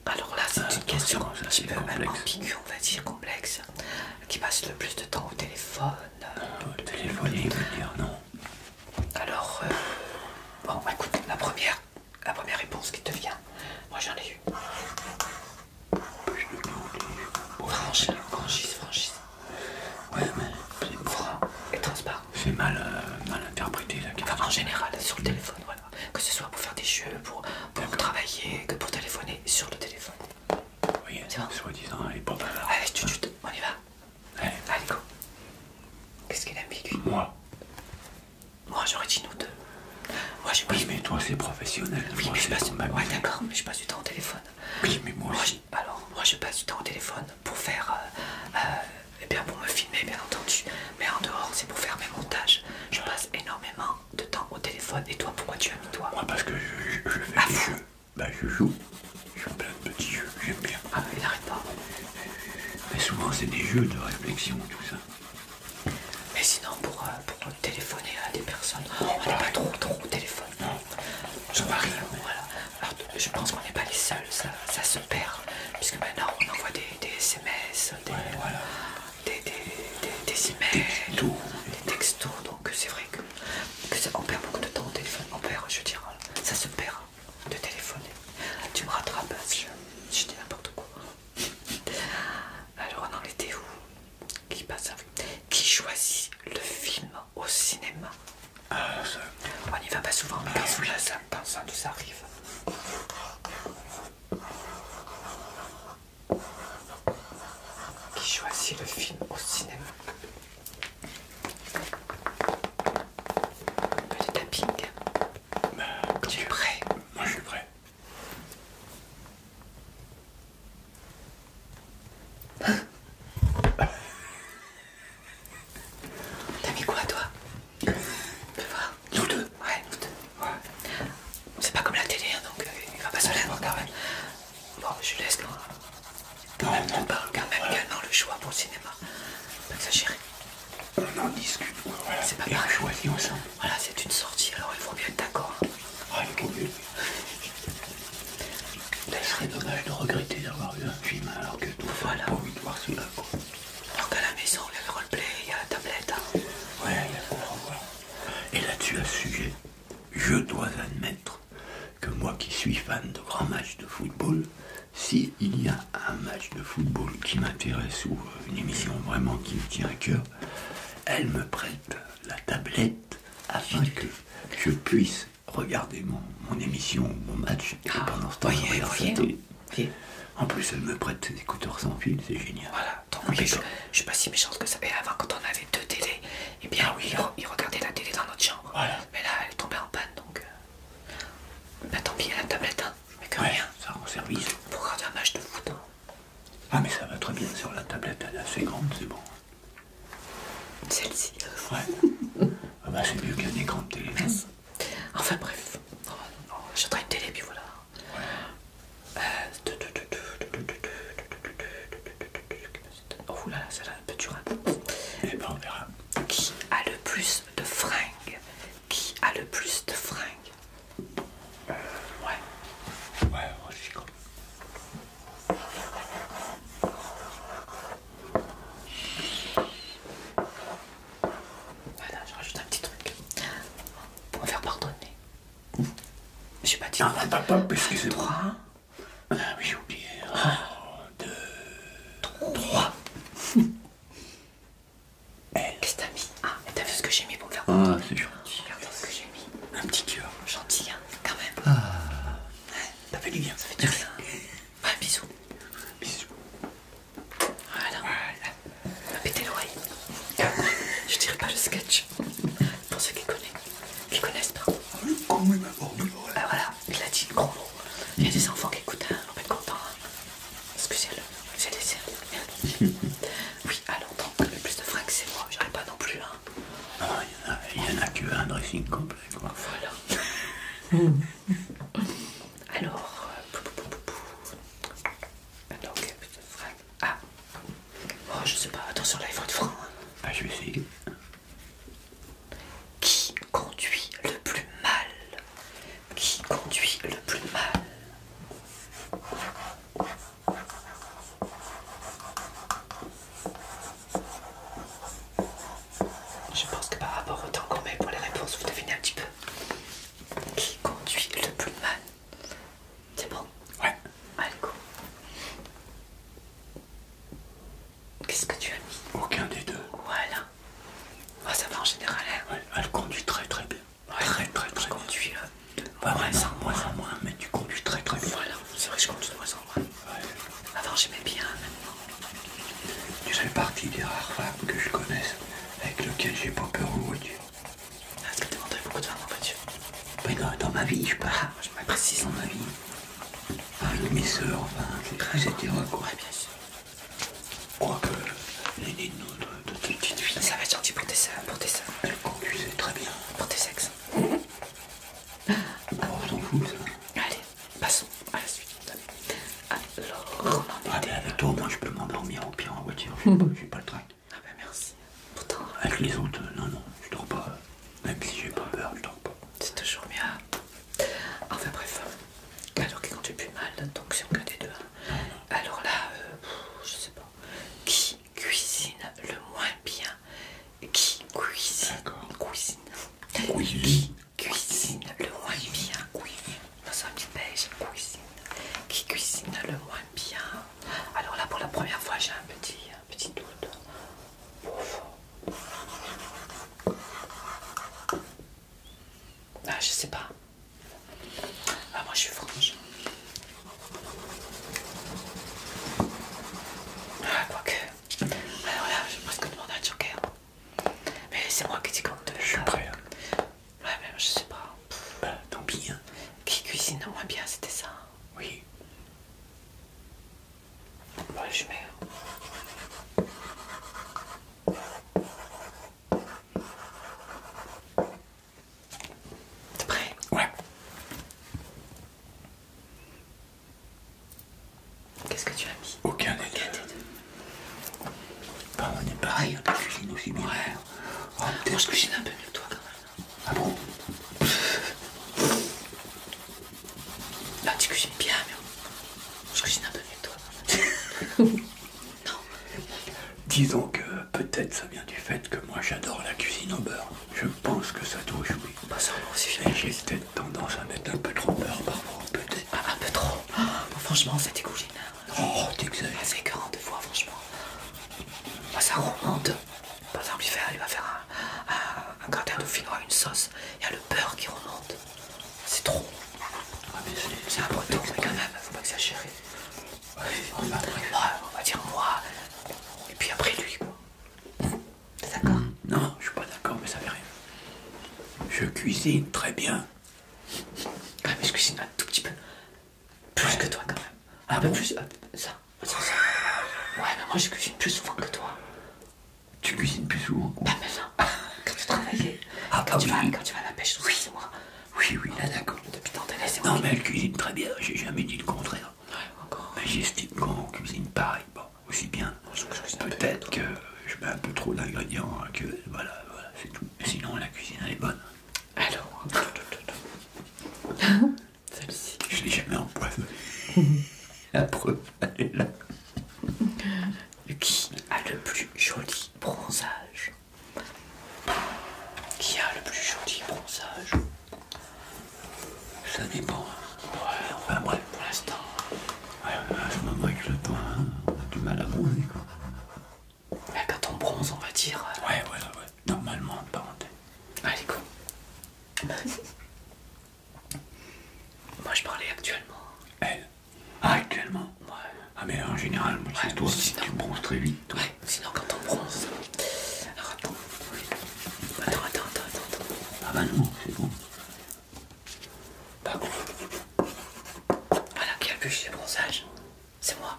Speaker 1: Alors là, c'est euh, une question un petit peu ambiguë, on va dire complexe qui passe le plus de temps au téléphone. Euh, téléphoner, dire non. Alors, euh, bon, écoute, la première, la première réponse qui te vient, moi j'en ai eu. Je franchisse. franchise, Ouais, mais c'est franc et transparent. C'est mal, euh, mal interprété la question. en général, sur le téléphone, voilà. Que ce soit pour faire des jeux, pour, pour travailler, que pour téléphoner sur le téléphone. Oui, c'est bon. Soi-disant, elle est pas là. Allez, hein. chut, on y va. Allez, go. Qu'est-ce qu'elle a lui Moi. Moi, j'aurais dit nous deux. Moi, oui, mais toi, c'est professionnel. Oui, mais je passe. Du... d'accord, mais je passe du temps au téléphone. Oui, mais moi. Alors, moi, je passe du temps au téléphone pour faire. Euh, euh, eh bien, pour me filmer, bien entendu. Mais en dehors, c'est pour faire mes montages. Je passe énormément de temps au téléphone. Et toi, pourquoi tu as mis toi parce que je, je, fais des jeux. Bah, je joue. Je plein de petits jeux, j'aime bien. Ah, il n'arrête pas. Mais souvent, c'est des jeux de réflexion, tout ça. Mais sinon, pour, euh, pour téléphoner à des personnes, oh, on n'est pas trop, trop au téléphone. Non, je Voilà. Alors, je pense qu'on n'est pas les seuls, ça, ça se perd. Puisque maintenant, on envoie des, des SMS, des, voilà. des, des, des, emails, textos. Des textos donc, c'est vrai que que ça, on perd beaucoup de temps au téléphone, on perd, je dirais ça se perd hein, de téléphoner. Tu me rattrapes, je, dis n'importe quoi. Alors on en était où Qui passe Qui choisit le film au cinéma euh, On n'y va pas souvent, mais quand euh, ça, ça arrive qui choisit le film au cinéma. Un petit tapping. Bah, tu es prêt Moi je suis prêt. T'as mis quoi toi Tu voir Nous deux Ouais, nous deux. C'est pas comme la télé, hein, donc euh, il va pas se lèver quand même. Bon, je laisse là. Quand hein, même, quand même le choix pour le cinéma. Pas exagéré. On en discute, quoi. Voilà. C'est pas bien pareil. ensemble. Voilà, c'est une sortie, alors il faut bien être d'accord. Hein. Ah, il faut Ce serait dommage de regretter d'avoir eu un film alors que tout voilà. pas envie de voir cela, là Donc à la maison, il y a le roleplay, il y a la tablette. Hein. Ouais, il y a Et là-dessus, à ce sujet, je dois admettre que moi qui suis fan de grands matchs de football, s'il y a un match de football qui m'intéresse ou euh, une émission vraiment qui me tient à cœur, elle me prête la tablette afin que je puisse regarder mon, émission ou mon match ah, pendant ce temps, En plus, elle me prête ses écouteurs sans fil, c'est génial donc ah, je, suis pas si méchante que ça. Et avant, quand on avait deux télés, et eh bien ah oui, ils, regardaient la télé dans notre chambre. Mais là, elle est tombée en panne, donc. Mais euh, bah, tant pis, la tablette, hein. mais que rien. Ça rend service. Pour regarder un match de foot. Hein. Ah mais ça va très bien sur la tablette, elle est assez grande, c'est bon. Celle-ci. Ouais. ah bah c'est mieux qu'un écran de télé. Hein. Enfin bref, oh, j'ai une télé puis voilà. Oh là là, ça un peu dur. Et hein. eh ben on verra. Qui a le plus de fringues Qui a le plus de fringues euh, Ouais. Ouais, moi je suis Voilà, je rajoute un petit truc pour me faire pardonner. J'ai pas dit. Non, pas non, que c'est 1, J'ai oublié. Un, deux, trois. Eh, qu'est-ce que t'as mis Ah, t'as vu ce que j'ai mis pour me faire Ah, c'est dur. Regarde ce que j'ai mis. Un petit cœur. Gentil, hein, quand même. Ah. Ça fait du bien. Ça fait du bien. Bah, bisous. Bisous. Voilà. voilà. Pétez l'oreille. Je dirais pas le sketch pour ceux qui connaissent, qui connaissent pas. Ah, il ah, voilà, il a dit le gros mot. Il y a des enfants qui écoutent, hein, on va être contents. Hein. Excusez-le, j'ai laissé Oui, alors le plus de fringues c'est moi, J'arrive pas non plus hein. ah, là. il y en a, que un dressing complet quoi. Voilà. alors, euh, pou, pou, pou, fringues. Ah Oh je sais pas, attention là il faut être franc. Hein. Ah je vais essayer. Qui conduit le plus mal Qui conduit le plus mal je pense que par rapport au temps qu'on met pour les réponses, vous devinez un petit peu. Qui conduit le plus mal c'est bon Ouais. Alco. Qu'est-ce que tu as mis Aucun des deux. Voilà. Oh, ça va en général. Elle, hein. elle conduit très très bien. très très très, je très conduis, bien. Euh, moins moins, mais tu conduis très très bien. Voilà, c'est vrai que je conduis de moins en moins. Avant j'aimais bien, maintenant. Hein. Tu fais partie des rares femmes que je connaisse avec lesquelles j'ai pas peur au voiture. Est-ce ah, que t'es beaucoup de femmes en voiture mais dans, ma vie, je pars, je m'apprécie dans ma vie. Avec mes soeurs, enfin, bien sûr. Quoique, les de notre de notre petites filles. Ça va être gentil pour tes soeurs, pour tes très bien. Pour tes sexes. Bon, ah, on ça. Allez, passons à la suite. Alors, ah, on avec toi, moi, je peux m'endormir au pire en voiture. Je pas le trac. Ah, ben merci avec les autres euh, non, non, je dors pas. Même si j'ai pas peur, je dors pas. C'est toujours mieux. Enfin bref. Alors quand tu plus mal, donc c'est on des deux. Hein. Alors là, euh, je sais pas. Qui cuisine le moins bien Qui cuisine Cuisine. Cuisine. Qui cuisine le moins bien oui Dans un petit pêche. cuisine. Qui cuisine le moins bien Alors là, pour la première fois, j'ai un petit petit doute Ah, je sais pas. Ah, moi je suis franche. Ah, quoique. Alors ah, là, j'ai presque demandé un joker. Mais c'est moi qui dis compte Je Je prêt. Hein. Ouais, mais je sais pas. Bah, tant pis. Hein. Qui cuisine moins bien, c'était ça. Oui. Boş ver. Hein. T'es prêt Ouais. Qu'est-ce que tu as mis Aucun des deux. on est pareil, on cuisine aussi bien. Ouais. Oh, Moi, je cuisine un peu mieux que toi quand même. Ah bon Bah tu cuisines bien, mais je cuisine un peu mieux que toi. non. Disons que peut-être ça vient du fait que moi j'adore la cuisine au beurre. Je pense que ça touche, oui. Pas bah, ça aussi J'ai peut tendance à mettre un peu trop beurre parfois, peut-être. Ah, un peu trop ah, bah, Franchement, ça dégouline. Hein. Oh, t'exagères. ça c'est 40 fois, franchement. Bah, ça remonte. Par exemple, il, va faire un, gratin de gratin une sauce. Il y a le beurre qui remonte. C'est trop. Ah, c'est un mais quand même, faut pas exagérer. on, va on va dire moi, et puis après lui, quoi. T'es d'accord Non, je suis pas d'accord, mais ça fait rien. Je cuisine très bien. Ah, mais je cuisine un tout petit peu. Plus que toi, quand même. un ah peu plus. Ça, Ouais, mais moi je cuisine plus souvent que toi. Tu cuisines plus souvent Bah, mais hein. Quand tu travailles, ah, ah quand, tu vas, à la pêche, oui, moi. Oui, oui, d'accord. Depuis tant de Non, mais elle cuisine très bien, j'ai jamais dit le contraire. Ouais, encore. Mais j'estime qu'on cuisine pareil, bon, aussi bien. Peut-être que je mets un peu trop d'ingrédients hein, que. Voilà, voilà, c'est tout. Sinon, la cuisine, elle est bonne. Alors. Celle-ci. Je l'ai jamais empoisonnée. La preuve, elle est là. Qui a le plus joli bronzage Qui a le plus joli bronzage Ça dépend. Ouais, enfin, bref, pour l'instant. Ouais, à ce moment avec le temps, on a du mal à bronzer, quoi. Eh ben, quand on bronze, on va dire. Euh, ouais, ouais, ouais. Normalement, en parenthèse. Allez, go. moi, je parlais actuellement. Elle ah, actuellement Ouais. Ah, mais en général, moi, tu bronzes très vite. Ouais, sinon, quand on bronze. Alors, attends. Attends, attends, attends, attends. Ah, bah non, c'est bon. Bah, Voilà, qui a plus bronzage C'est moi.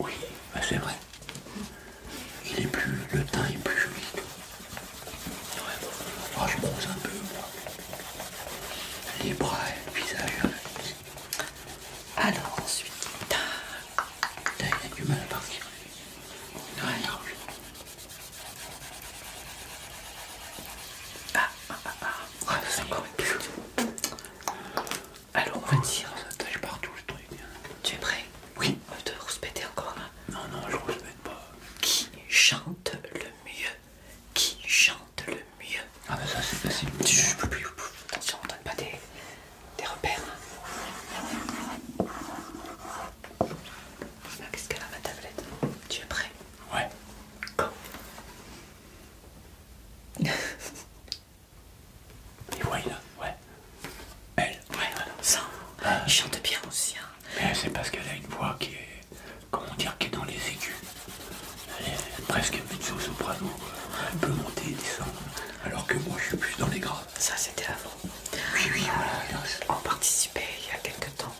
Speaker 1: oui, bah, c'est vrai. Il est plus, le teint est plus joli. Oh, je bronze un peu, Les bras et le visage. Hein. Alors ensuite, putain, il a du mal à partir. Non, il a plus. Ah, ah, ah, ah, ah c'est encore une plus. Ah, alors on va dire. Tu es prêt Oui. On va te rouspéter encore là. Non, non, je rouspète pas. Qui chante le mieux Qui chante le mieux Ah bah ça c'est facile. attention, on donne pas des, repères. Qu'est-ce qu'elle a ma tablette Tu es prêt Ouais. Et voilà, ouais. Elle, ouais, ah. chante bien aussi. Hein. Mais c'est parce qu'elle a une voix qui est, comment dire, qui est dans les aigus. Elle est presque mezzo-soprano, elle euh, peut monter et descendre. Alors que moi, je suis plus dans les graves. Ça, c'était avant. Oui, oui, voilà. Euh, on participait il y a quelques temps.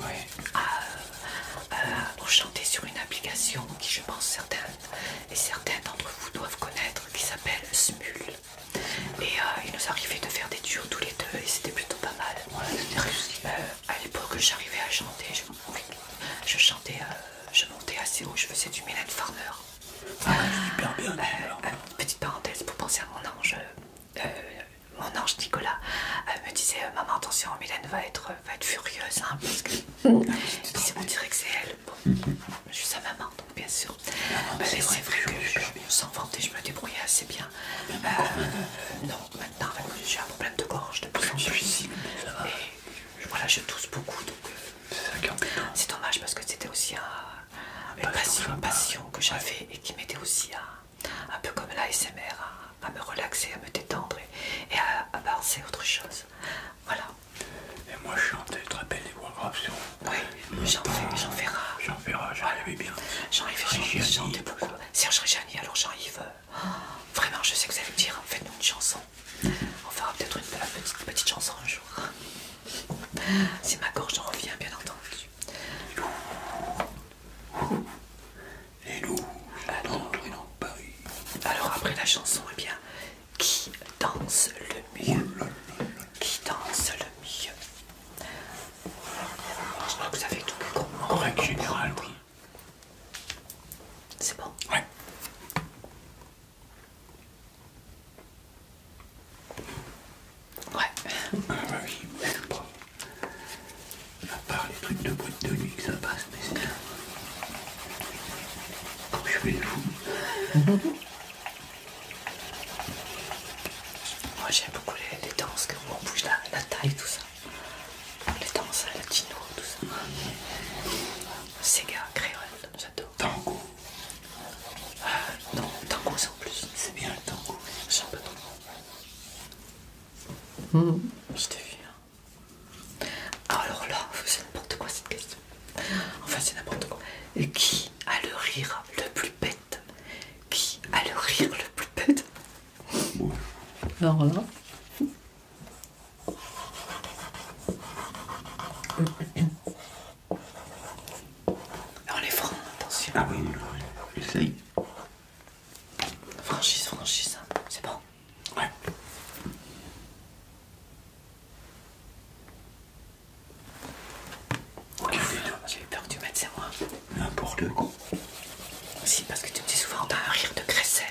Speaker 1: Oui. Pour euh, chanter sur une application qui, je pense, certaines et certains d'entre vous doivent connaître, qui s'appelle Smule. Et euh, il nous arrivait de faire des duos tous les deux et c'était plutôt pas mal. Euh, à l'époque, j'arrivais à chanter. Je, chantais, euh, je montais assez haut. Je faisais du Mylène Farmer. Ah, petite parenthèse pour penser à mon ange. mon ange Nicolas me disait Maman, attention, Mylène va être, furieuse hein, parce que ah, que c'est elle. Bon, je suis sa maman, donc bien sûr. Euh, mais c'est vrai, que, je, sans je me débrouillais assez bien. Euh, non, maintenant, j'ai un problème de gorge de plus en plus. Et voilà, je tousse beaucoup, donc euh, c'est dommage parce que c'était aussi un, une passion, que j'avais et qui m'aidait aussi à, un peu comme l'ASMR, à, à me relaxer, à me détendre et, à, à penser autre chose. Voilà. Et moi je chantais, très belle rappelles les Warcraft sur... Oui, j'en fais, ferai. J'en ferai, j'en avais bien. Jean-Yves, chantait beaucoup. Serge Réjani, alors Jean-Yves, oh, vraiment je sais que vous allez me dire, faites-nous une chanson. On fera peut-être une petite, petite chanson un jour. c'est ma gorge en revient, bien entendu. Les loups, les loups, Alors après la chanson, eh bien, qui danse le mieux Qui danse le mieux Je crois que vous avez tout compris. règle générale, oui. C'est bon Ouais. Ouais. Ah bah oui, je sais pas. À part les trucs de boîte de nuit que ça passe, mais c'est... Comme je fais le fou. Moi j'aime beaucoup les, danses on bouge la, taille, tout ça. Les danses à latino, tout ça. Sega, créole, j'adore. Tango euh, Non, tango c'est en plus. C'est bien le tango. un un peu tango. Je t'ai vu. Alors là, c'est n'importe quoi cette question. Enfin, c'est n'importe quoi. Qui a le rire le plus bête Qui a le rire le plus bête Non. Alors là. On les francs, attention. Ah oui, Franchise, franchise, hein. c'est bon. Ouais. J'ai peur que tu mettes, c'est moi. N'importe quoi. Si, parce que tu me dis souvent, t'as un rire de crécelle.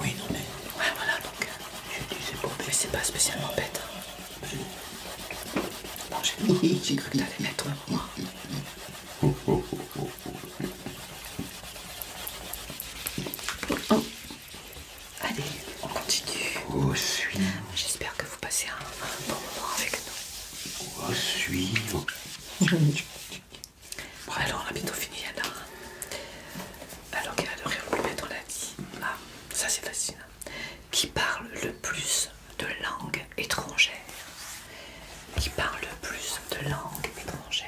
Speaker 1: Oui, non, mais. Ouais, voilà, donc. Euh, pas spécialement bête. Hein. j'ai cru que t'allais mettre moi. Oh, oh, oh, Allez, on continue. J'espère que vous passez un, bon moment avec nous. Au suivant. bon, alors on a bientôt fini, Anna. Alors qu'elle a de rire plus mettre, on l'a vie. Ah, ça c'est fascinant. Hein. Qui parle le plus de langues étrangères Qui parle le plus de langues étrangères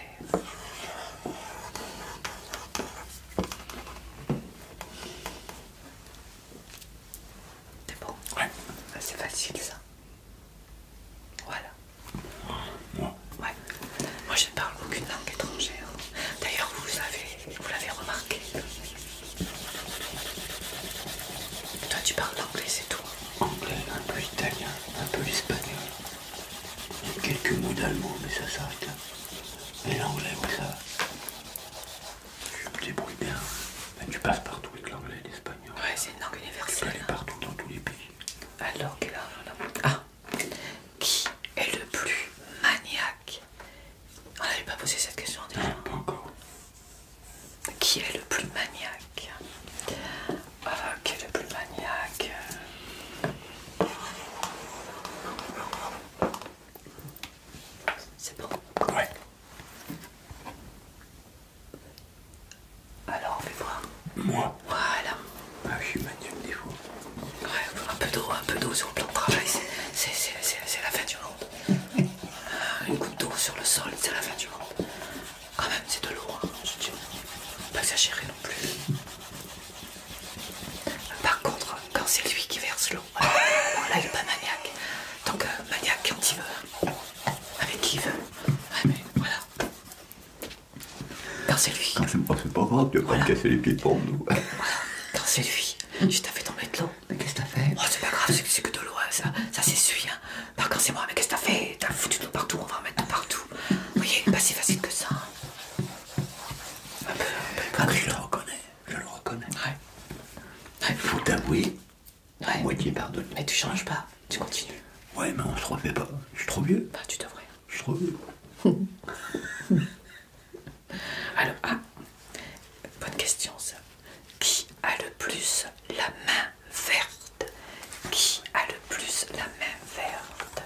Speaker 1: c'est bon Ouais. Bah, c'est facile ça. Voilà. Moi. ouais. Moi je ne parle aucune langue étrangère. D'ailleurs vous l'avez vous remarqué. Toi tu parles d'anglais, c'est tout. Anglais, un peu italien, un peu espagnol. Quelques mots d'allemand mais ça s'arrête là. Et l'anglais, où ça tu me débrouille bien. tu passes partout avec l'anglais et l'espagnol. Ouais, c'est une langue universelle. Tu peux aller hein. partout dans tous les pays. Alors, Ah Qui est le plus maniaque On ah, n'avait pas posé cette question déjà. encore. Qui est le plus maniaque Ah Qui est le plus maniaque c'est bon Ouais. Alors, on fait voir. Moi Voilà. Ah, je suis des Ouais, un peu d'eau, un peu d'eau sur le plan de travail, c'est la fin du monde. Euh, une goutte d'eau sur le sol, c'est la fin du monde. Quand même, c'est de l'eau, On hein, Pas exagéré non plus. Par contre, quand c'est lui qui verse l'eau, là il n'est pas maniaque. Donc que maniaque quand il veut, avec qui il veut. mais voilà. Quand c'est lui. Quand ah, c'est pas grave, tu vas quand pas me casser les pieds pour nous. Quand c'est lui, je t'ai fait tomber de l'eau. Mais qu'est-ce que t'as fait oh, C'est pas grave, c'est que de l'eau, hein. ça, ça s'essuie. Hein. Par contre, c'est moi, mais qu'est-ce que t'as fait T'as foutu de l'eau partout, on va en mettre de partout. Vous voyez, pas si facile que ça. Hein. Un peu, un ah, le reconnais. Je le reconnais. Ouais. Faut t'avouer, ouais. moitié pardonné. Mais tu changes pas, tu continues. Ouais, mais on se refait pas. Je suis trop vieux. Bah, tu devrais. Je suis trop vieux. Alors, ah, bonne question ça. Qui a le plus la main verte Qui a le plus la main verte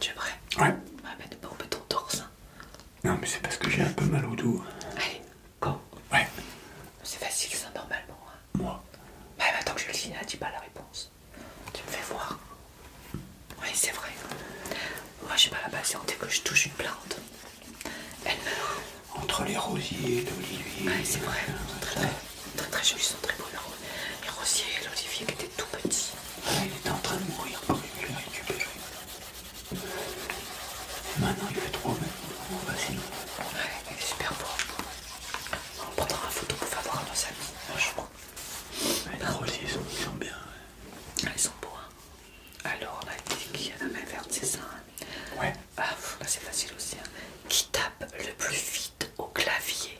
Speaker 1: tu es prêt Ouais. Ouais, bah, mais ne ton torse. Hein. Non, mais c'est parce que j'ai un peu mal au dos. Allez, go. Ouais. C'est facile, ça, normalement. Hein. Moi. Bah, mais attends que je le dis, hein, dis pas la réponse. Tu me fais voir. Oui, c'est vrai. Moi, j'ai pas la patience Dès que je touche une plante, elle meurt. Entre les rosiers, l'olivier. Ouais, c'est vrai. Très, très très jolis, sont très beaux les rosiers et l'olivier qui étaient tout petits. Il était en train de mourir quand je l'ai récupéré. Et maintenant il fait trop beau. On va il est super beau. On prendra la photo pour faire voir à nos amis, les rosiers sont, ils sont bien. Ah, ils sont beaux. Hein. Alors la a la main verte, c'est ça. Hein. Ouais ah, bah, c'est facile aussi, hein. qui tape le plus vite au clavier.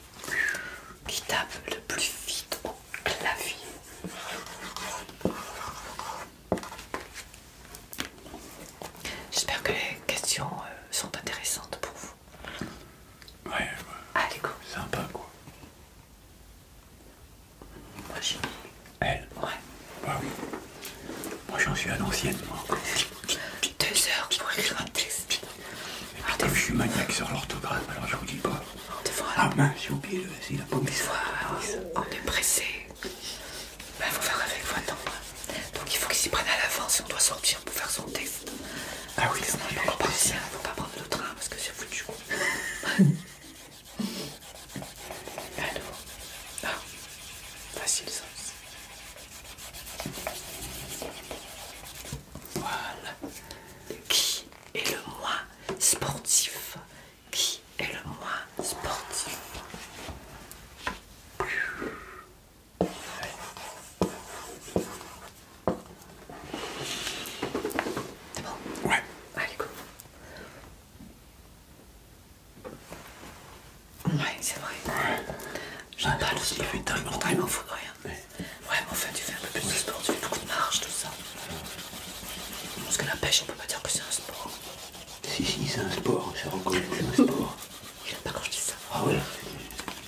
Speaker 1: Qui tape le plus vite au clavier. J'espère que les questions euh, sont intéressantes pour vous. Ouais, ouais. Allez, go. Sympa, quoi. Moi, j'ai Elle Ouais. Bah moi, j'en suis à l'ancienne, moi deux heures pour écrire un texte. Et puis je suis maniaque sur l'orthographe, alors je vous dis pas. ah mince, j'ai oublié le S, il a pas mis on est pressé. Ben, faut faire avec faut temps. Hein. Donc il faut qu'ils s'y prennent à l'avance si on doit sortir pour faire son test. Ah oui, il hein, faut pas prendre le train parce que c'est foutu. Allo. ah, facile ça. Voilà. Qui est le moi sportif Qui est le moi sportif C'est bon Ouais. Allez, Ouais, c'est vrai. J'en pas ah, le sport. Fait temps il m'en de rien. ouais, mais enfin, tu fais un peu plus de sport, tu fais beaucoup de marche, tout ça. Parce que la pêche, on peut pas dire que c'est un sport. Si, si, c'est un sport, c'est que c'est un sport. il a pas quand je dis ça. Ah ouais,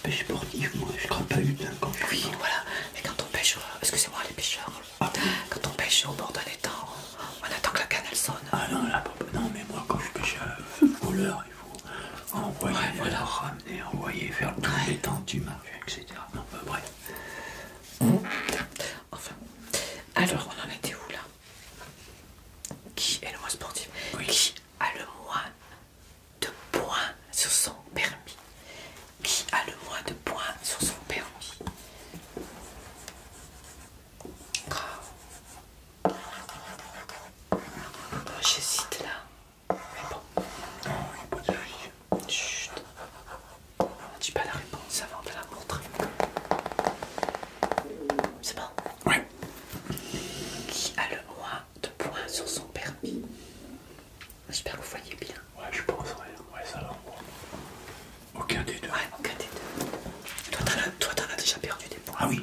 Speaker 1: pêche sportive, moi, je crois pas eu hein, quand Oui, voilà, mais quand on pêche, euh, excusez-moi les pêcheurs, ah quand on pêche au bord d'un étang, on attend que la canne elle sonne. Ah non, là, non, mais moi, quand je pêche à, euh, voleur il faut envoyer, ramener, envoyer, faire le les tentes du marché, etc. Bah, enfin, alors on en était où là Qui est le moins sportif Qui a le moins de points sur son permis Qui a le moins de points sur son permis Oh, j'hésite là. Mais bon. Non, il a pas vie. Chut. Tu pas la réponse avant de la montrer. C'est bon Ouais. Qui a le moins de points sur son permis J'espère que vous voyez bien. Ouais, je pense, ouais, ça va. Aucun des deux. Ouais, aucun des deux. Toi, t'en as déjà perdu des points. Ah oui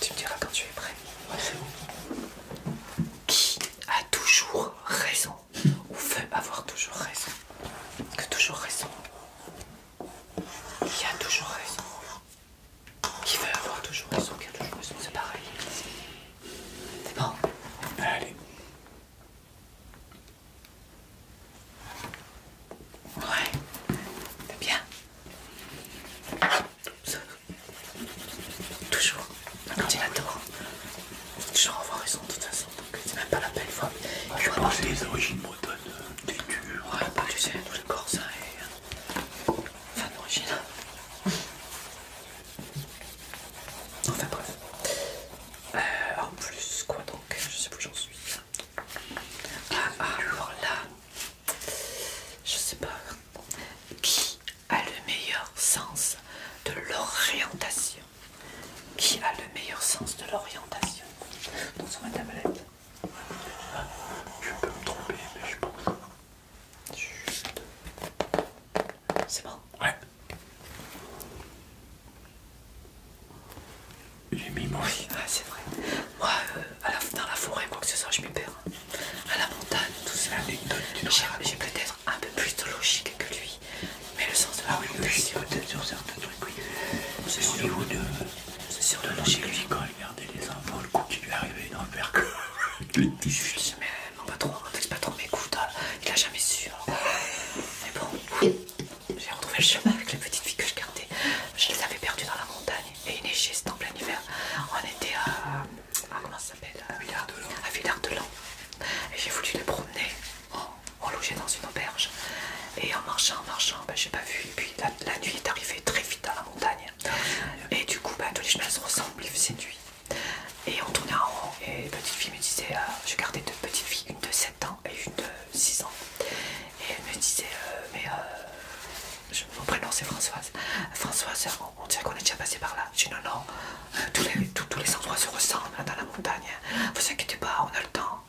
Speaker 1: Tu me diras quand tu es prêt. Ouais, c'est Qui a toujours raison ou veut avoir toujours raison Que toujours raison. Qui a toujours raison Qui veut avoir toujours raison Qui a toujours raison C'est pareil. C'est bon Allez. Ouais, c'est bien. Toujours il faut Toujours avoir raison de toute façon, donc c'est même pas la peine. fois. Ah, je vais que des, origines bretonnes, euh, des dur. Ouais, bah tu sais, tout le Corse ça. et. Enfin, d'origine. Enfin, bref. Euh, en plus, quoi donc Je sais plus où j'en suis. Ah, ah alors là, je sais pas, qui a le meilleur sens de l'orientation Qui a le meilleur sens de l'orientation Dans ma tablette. Je peux me tromper, mais je pense. C'est bon Ouais. J'ai mis mon... Ah, c'est vrai. Moi, euh, dans la forêt, quoi que ce soit, je m'y perds. À la montagne, tout ça. J'ai peut-être un peu plus de logique que lui, mais le sens de la ah oui, peut-être sur certains trucs, oui. C'est sûr. Au niveau de, c'est sûr de logique. Lui, quand il gardait les enfants, le coup qui lui arrivait, il n'en perd que Je petits fils. Mais mon pas trop hein, patron m'écoute, il a jamais su. Hein. Mais bon, j'ai retrouvé le chemin avec les petites filles que je gardais. Je les avais perdues dans la montagne et il c'était en plein hiver. On était à. comment ça s'appelle euh, À Villard-de-Lans. Et j'ai voulu les promener. On logeait dans une auberge. Et en marchant, en marchant, je ben, j'ai pas vu. Et puis la, nuit est arrivée très vite à la montagne. Ah, et du coup, ben, tous les chemins se ressemblent, il nuit. Et on tournait en rond. Et petite fille me disait... Euh, je gardais deux petites filles, une de 7 ans et une de 6 ans. Et elle me disait... Euh, mais je, mon prénom c'est Françoise. Françoise, on, dirait qu'on est déjà passé par là. Je dis non, non, euh, tous, les, tous les endroits se ressemblent dans la montagne. Vous inquiétez pas, on a le temps.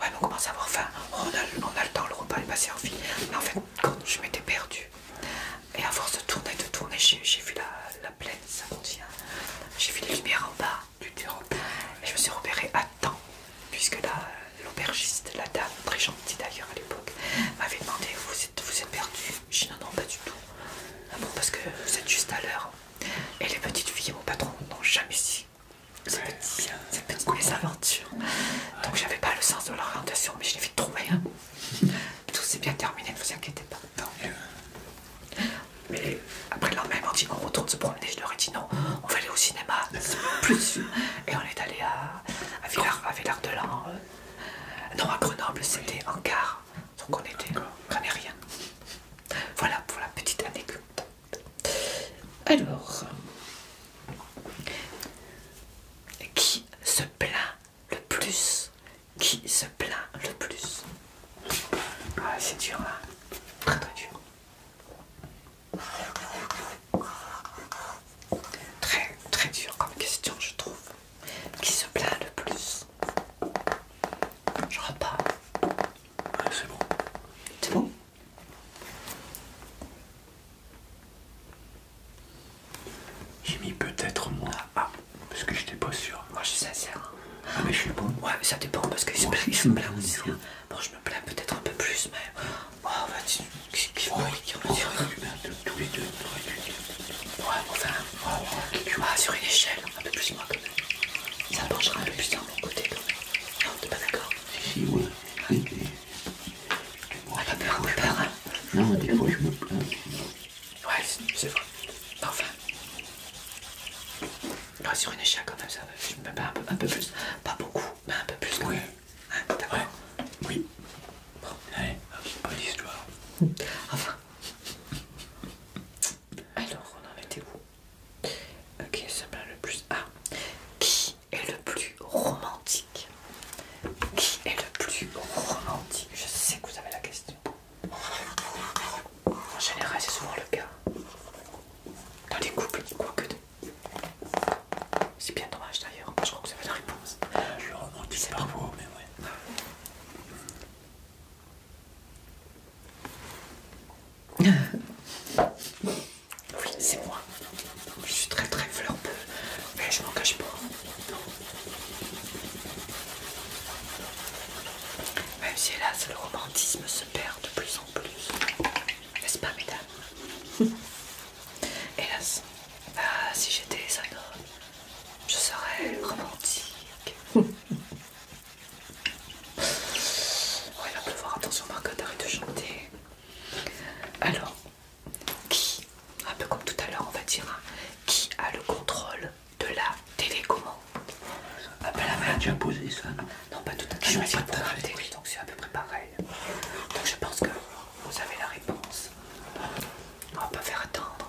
Speaker 1: Ouais, on commence à avoir faim. On a, le temps, le repas est passé en vie. Mais en fait, quand je m'étais perdue, et à force de tourner, de tourner, j'ai vu la, plaine, ça tient. Hein. J'ai vu les lumières en bas du, terrain. Et je me suis repérée à temps puisque là, l'aubergiste, la, dame, très gentille d'ailleurs à l'époque, m'avait demandé vous êtes, vous perdu J'ai dit non, non, pas du tout. Ah bon, parce que vous êtes juste à l'heure. Et les petites filles, mon patron, n'ont jamais si ces, bien, ces petites bien, aventures. Donc j'avais pas le sens de leur l'orientation, mais je l'ai vite trouvé. Hein. tout s'est bien terminé, ne vous inquiétez pas. Mais après le même, on dit on retourne se promener. Je leur ai dit non, on va aller au cinéma, Plus sûr Et on est allé à avait l'air de Lans. Euh. Non, à Grenoble, c'était en quart. Donc on était rien. Voilà pour la petite anecdote. Alors, euh, qui se plaint le plus Qui se plaint le plus ah, C'est dur, là. Hein. Très très dur. Très, très dur comme question, je trouve. Qui se plaint le plus Je pas. Ouais, c'est bon. C'est bon J'ai mis peut-être moi. Ah, parce que j'étais pas sûr. Moi, je suis sincère. Hein. Ah, mais je suis bon. Ouais, mais ça dépend parce que se plaint aussi. Hein. Bon, je me plains peut-être un peu plus, mais Oh, bah, tu. Qui va Tous les deux. Ouais, enfin. Ah, sur une échelle, un peu plus moi quand même. Ça penchera un peu plus dans mon côté quand même. Non, t'es pas d'accord Si, ouais. Ah. Oui, pas ah, peur, pas peur, hein Non, des fois je me plains. Ouais, c'est vrai. Enfin. Ouais, sur une échelle quand même, ça. Je me mets un peu, un peu plus. Pas beaucoup. Bah, un peu plus oui. Ah, oui. allez, hop, bonne histoire. enfin. Alors, on en était où Ok, ça me le plus. Ah Qui est le plus romantique Qui est le plus romantique Je sais que vous avez la question. En général, c'est souvent le cas. Dans les couples, que de c'est bien dommage d'ailleurs, je crois que c'est la réponse. Je le par vous, mais ouais. Ah. oui, c'est moi. Je suis très très fleurbeux, mais je m'en cache pas. Même si hélas, le romantisme se perd de plus en plus. N'est-ce pas, mesdames Hélas. Ah, si j'étais homme, je serais romantique. Voilà, il va pleuvoir, attention Marcotte, arrête de chanter. Alors, qui, un peu comme tout à l'heure, on va dire, hein, qui a le contrôle de la télécommande Ah, ben la merde, tu as posé ça, non pas tout à ah, fait, je me suis donc c'est à peu près pareil. Donc, je pense que vous avez la réponse. On va pas faire attendre.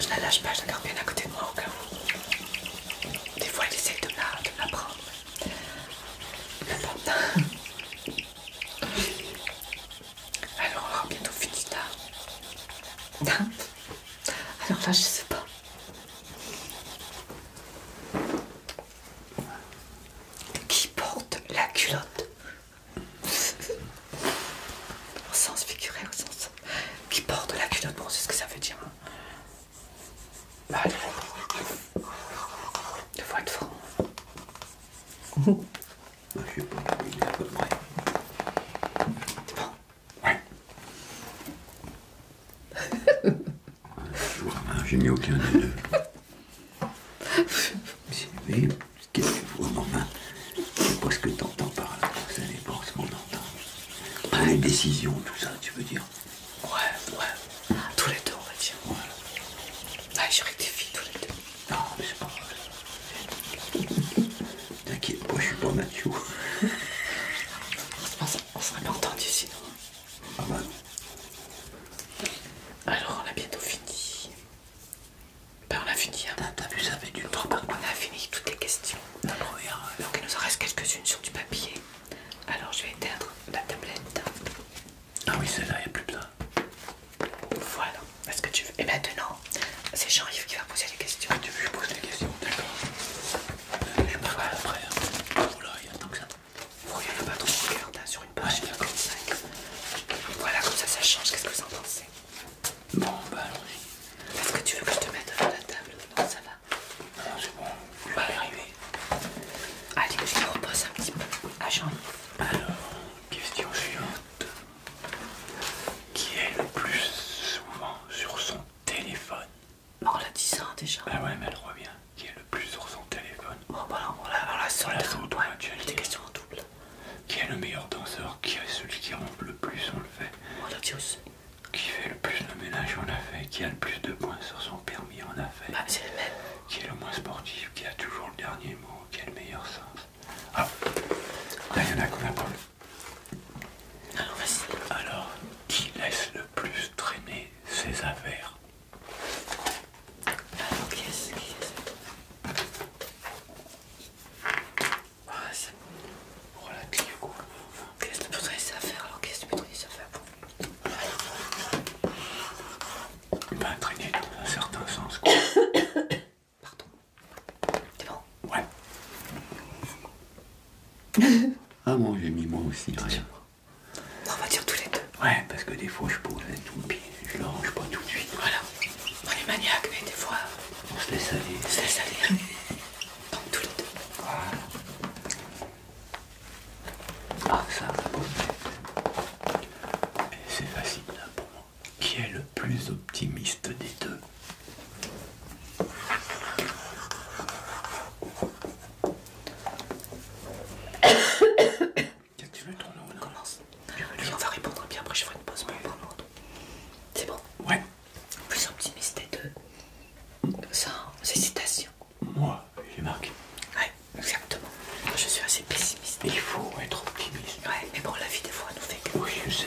Speaker 1: Je la lâche pas, je la garde bien à côté de moi au cas où. Des fois, elle essaye de la, prendre. Alors, on aura bientôt fini là. Hein alors là, je sais pas. Qui porte la culotte Au sens figuré, au sens. Qui porte la culotte Bon, c'est ce que ça veut dire. Hein. Bah, Bah, le fois de Je vais pas, il Ouais. Je j'ai mis aucun des deux. Mais qu'est-ce que vous, maman? Je sais pas ce que t'entends par là. Ça dépend ce qu'on entend. Ah, les décisions, tout ça, tu veux dire Ouais, ouais. Tous les deux, on va dire. j'aurais des filles, tous les deux. Non, mais c'est pas vrai. T'inquiète moi je suis pas Mathieu. on serait pas entendu sinon. Ah bah Alors on a bientôt fini. Ben on a fini. Hein. T'as vu, ça fait du on a fini toutes les questions. Donc il nous en reste quelques-unes sur du papier. Alors je vais éteindre la tablette. Ah oui, celle-là, il n'y a plus besoin. Voilà. Est-ce que tu veux Et maintenant, c'est Jean-Yves qui va poser les questions. Ah, tu peux poses les questions, d'accord. Euh, je après. Hein. Oula, il y a tant que ça. Regarde pas trop, regarde, hein, sur une page. 55. Voilà, comme ça, ça change. Qu'est-ce que vous en pensez Bon, bah allons-y. Est-ce que tu veux que je te mette devant la table Non, ça va. Ah, c'est bon, va y arriver. Allez, je te repose un petit peu. À Jean-Yves. Alors, question chiante qui est le plus souvent sur son téléphone. Oh, on l'a dit ça déjà. Bah ouais, mais elle revient. Qui est le plus sur son téléphone. Bon, on l'a des questions en double. Qui est le meilleur danseur Qui est celui qui rompt le plus On le fait. Qui fait le plus de ménage On a fait. Qui a le plus de points sur son permis On a fait. Bah, c'est le même. Qui est le moins sportif Qui a toujours le dernier mot Qui a le meilleur sens Ah, là, il y en a qu'on a pas le alors, vas-y. Alors, qui laisse le plus traîner ses affaires Alors, qui laisse qui ah, c'est bon. Ah, relative quoi. Qui laisse le plus traîner ses affaires Alors, qui laisse le plus traîner ses affaires Ben, traîner dans un certain sens Pardon. C'est bon Ouais. ah bon, j'ai mis moi aussi, rien. On va dire tous les deux. Ouais, parce que des fois je pose un tout, puis je le range pas tout de suite. Voilà. On est maniaque, mais des fois. On se laisse aller. On se laisse aller. tous les deux. Voilà. Ah, ça, ça c'est facile pour moi. Qui est le plus optimiste des deux Qu'est-ce que tu veux nom On commence. Lui, on va répondre, bien après je ferai une pause pour prendre l'autre. C'est bon Ouais. Plus optimiste de deux. Sans hésitation. Hein, Moi, j'ai marqué. Ouais, exactement. Moi, je suis assez pessimiste. Il faut être optimiste. Ouais, mais bon, la vie des fois nous fait que. Oui, je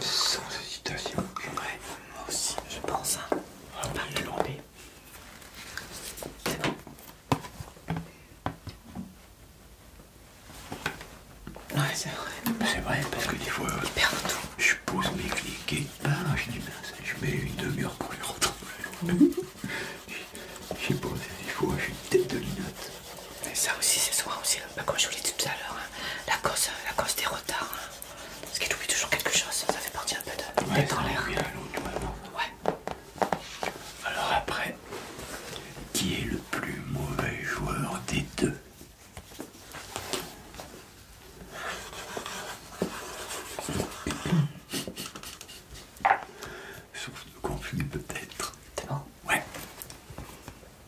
Speaker 1: Sans hésitation. Ouais, moi aussi, je pense. On va pas de demander. C'est bon. Ouais, c'est vrai. C'est vrai, parce que des fois, je pose mes clics et je dis, mince, ben, je mets une demi-heure pour les retrouver. J'ai posé des fois, j'ai une tête de linotte. Et ça aussi, c'est souvent aussi, hein. bah, comme je vous l'ai dit tout à l'heure, hein. la, cause, euh, la des retards. Hein. parce qu'il oublie toujours quelque chose, ça fait partie un peu de ouais, dans l'air. Ouais. Alors après, qui est le plus mauvais joueur des deux Sauf de conflit peut-être. Ouais.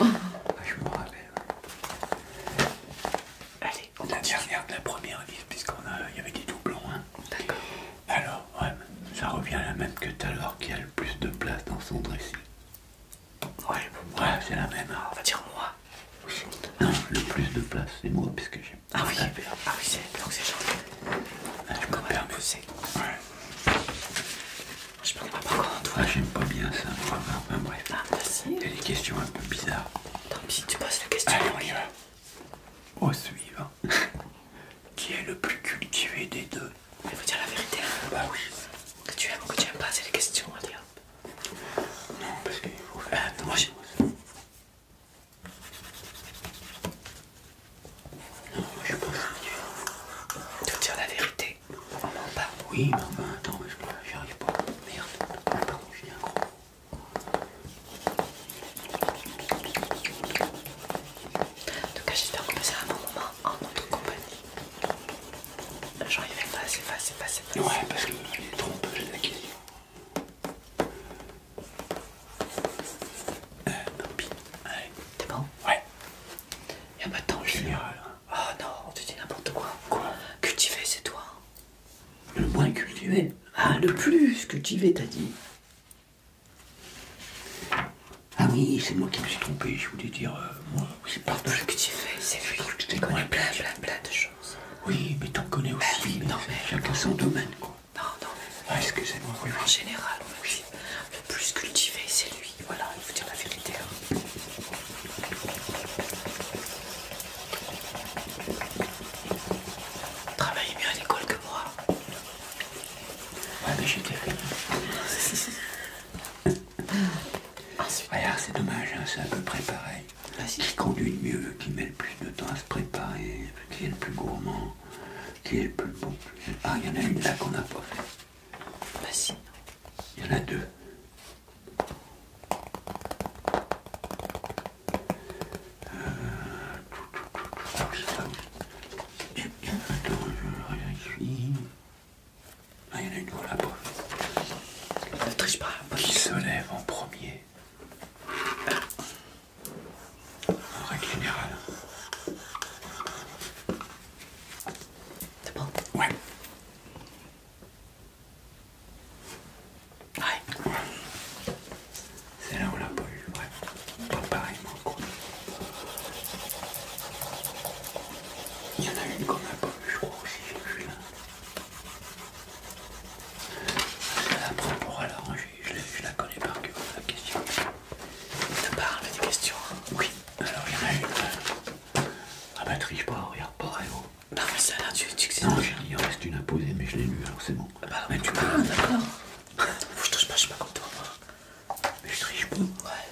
Speaker 1: ah, je me rappelle. Allez, on la dernière de la première liste, puisqu'on a, il y avait des doublons. Hein. D'accord. Alors, ouais, ça revient à la même que tout à l'heure, qui a le plus de place dans son dressing. Ouais, ouais c'est la même. Ah, on va dire moi. Non, le plus de place, c'est moi, puisque j'ai. Ah oui, ah oui, c'est donc c'est gentil. Ah, je me permets. Ouais. Je prends pas par contre. Ah, j'aime pas bien ça. Enfin, bref. T'as ah, bah des questions un peu bizarres. Tant pis, tu poses la question. Allez, on y va. Au Qui est le plus cultivé des deux Je vais vous dire la vérité. Hein. Bah oui. Que tu aimes ou que tu aimes pas, c'est les questions, allez Non, parce qu'il faut faire. Euh, moi moi, non, je pense que... Te dire la vérité, on en parle. Oui, mais enfin, attends, j'y arrive pas. Merde. Ah, je j'ai un gros En tout cas, j'espère qu'on passera un bon moment en notre compagnie. J'en y vais pas, c'est pas, c'est pas, c'est pas. Ouais, parce que les trompeuse, j'ai la question. tant pis. T'es bon Ouais. Y'a pas de temps Oh non, tu dis n'importe quoi. Quoi Cultiver, c'est toi. Le moins cultivé. Ah, le plus cultivé, t'as dit. Ah oui, c'est moi qui me suis trompé, je voulais dire, euh, moi, oui, pardon. Le cultivé, c'est lui. Tu connais plein, plein de choses. Oui, mais t'en connais bah aussi. non, mais... Chacun son domaine, quoi. Non, non, mais... Ah, excusez-moi, oui, En général, oui le plus cultivé, c'est lui. Voilà, il faut dire la vérité. Hein. mieux à l'école que moi. Ouais, mais j'étais Ah c'est dommage, hein, c'est à peu près pareil. Qui conduit le mieux, qui met le plus de temps à se préparer, qui est le plus gourmand, qui est le plus bon. Ah, il y en a une là qu'on n'a pas fait. Il y en a deux. Ah, il y en a une là Ne triche pas. Qui se lève en premier En règle générale. C'est bon Ouais. Ouais. C'est là où l'a poche, ouais. Pas pareil, mais Il y en a une comme la poche, je crois aussi, je la prends pour la ranger, je la connais par cœur, la question. Ça parle des questions. Oui. Alors il y en a une. Ah bah triche pas, regarde pas, eh, oh. Non mais ça là tu tu que c'est Non, il reste une à poser, mais je l'ai lu, alors c'est bon. Ah bah mais tu ah, parles, d'accord. je triche pas, je suis pas comme toi. Mais je triche pas. Ouais,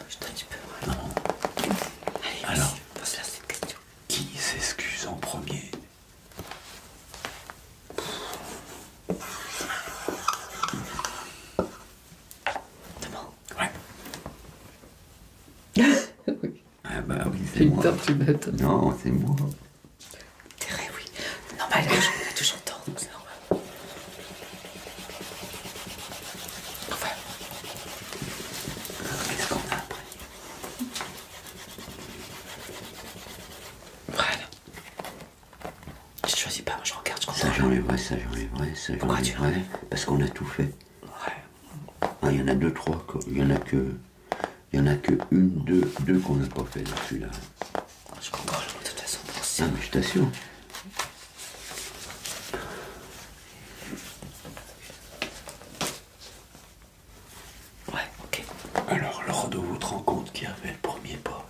Speaker 1: je t'ai un peu. Ouais. Non. Allez, alors, se la cette question. Qui s'excuse en premier Ouais. Ah bah oui, c'est moi. bête. Non, c'est moi. Terré, oui. Normal, on toujours tort, donc c'est normal. Enfin. Euh, après Voilà. Je choisis pas, je regarde ce qu'on Ça j'enlève, vrai, ça j'enlève, vrai, ça Pourquoi tu vrai. Parce qu'on a tout fait. Ouais. Ah, il y en a deux, trois, il y en a que. Il y en a que une, deux, deux qu'on n'a pas fait là, là Je comprends, de toute façon, Ah, mais je t'assure. Ouais, ok. Alors, lors de votre rencontre, qui avait le premier pas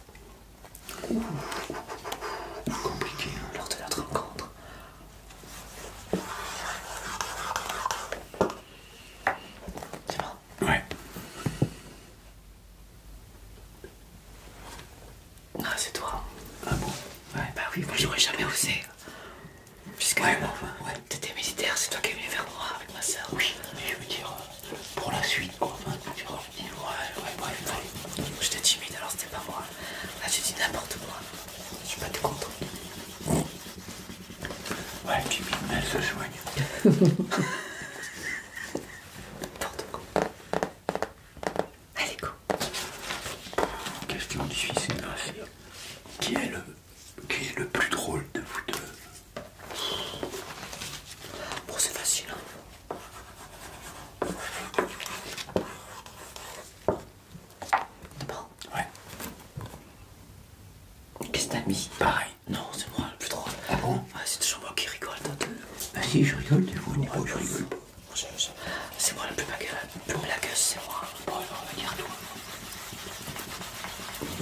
Speaker 1: Compliqué lors de notre rencontre. C'est bon Ouais. Ah, c'est toi. Ah bon Ouais. Bah oui, moi j'aurais jamais osé. Puisque ouais, ouais. t'étais militaire, c'est toi qui es venu vers moi avec ma soeur. Oui, mais je veux dire, euh, pour la suite, quoi ouais, ouais, bref, J'étais timide alors c'était pas moi. Là tu dis n'importe quoi. Je suis pas tout content. Ouais, timide, mais elle se soigne. N'importe quoi. Allez, go. Question difficile hein, Qui est le, qui est le plus drôle de vous deux Bon, c'est facile. Hein. Bon Ouais. Qu'est-ce que t'as mis Pareil. Non, c'est moi le plus drôle. Ah bon ah, C'est toujours moi qui rigole. Bah si, je rigole, tu vois, Oh je rigole pas. C'est moi le plus bagueuse, plus c'est moi. Bon, alors, à toi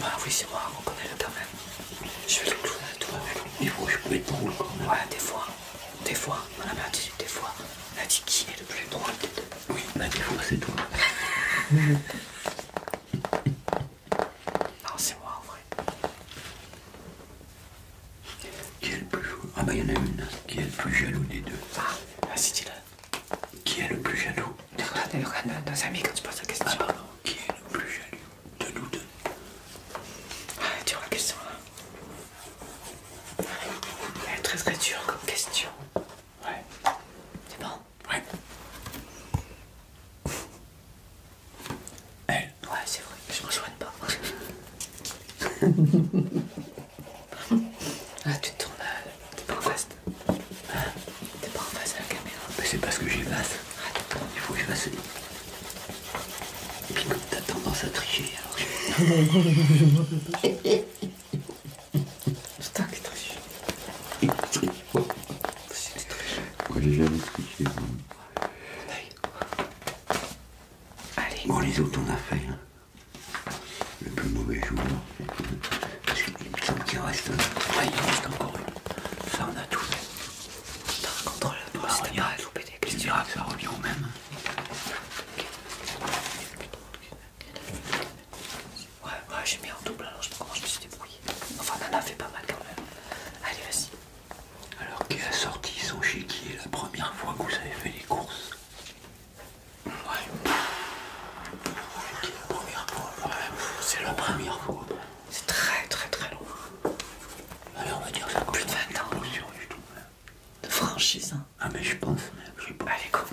Speaker 1: Bah oui, c'est moi, on connaît le quand même. Je fais le clouer à toi, mais bon, je peux être drôle quand même. Ouais, des fois. Des fois, on a dit, des fois, on a dit qui est le plus drôle des deux. Oui, bah des fois c'est toi. non, c'est moi en vrai. Qui est le plus jaloux Ah bah il y en a une. Hein. Qui est le plus jaloux des deux Ah, vas-y ah, dis-le. Qui est le plus jaloux Regarde, nos amis quand tu poses la ah, question. Ah pardon, qui est le plus jaloux de nous deux Ah, vois la question là. Hein. Elle est très très dure comme question. Ouais. C'est bon Ouais. Ouais, c'est vrai, je m'en rejoigne pas. ah, tu te tournes à... Euh, t'es pas en face. Hein t'es pas en face à la caméra. Mais c'est parce que j'y ah, passe. Il faut que je fasse et puis comme t'as tendance à tricher, alors. Je... non, non, Il je me rappelle pas. triche. Il triche. Moi, j'ai jamais triché. Bon. Allez. Bon, les autres, on a fait. Hein. Le plus mauvais jour. Parce qu'il me semble qu'il reste. Ouais, il reste encore. Ça, on a tout fait. T'as raconté la barre, je te que ça revient au même. Ouais, ouais, j'ai mis en double alors je sais pas comment je me suis débrouillé. Enfin, a fait pas mal quand même. Allez, vas-y. Alors, qui a sorti son chéquier la première fois que vous avez fait les courses Ouais. Chéquier, la première fois. Ouais, c'est la première fois. C'est très, très, très long. Allez, on va dire ça Plus de 20 ans de franchise. Hein. Ah mais je pense, je Allez, cool.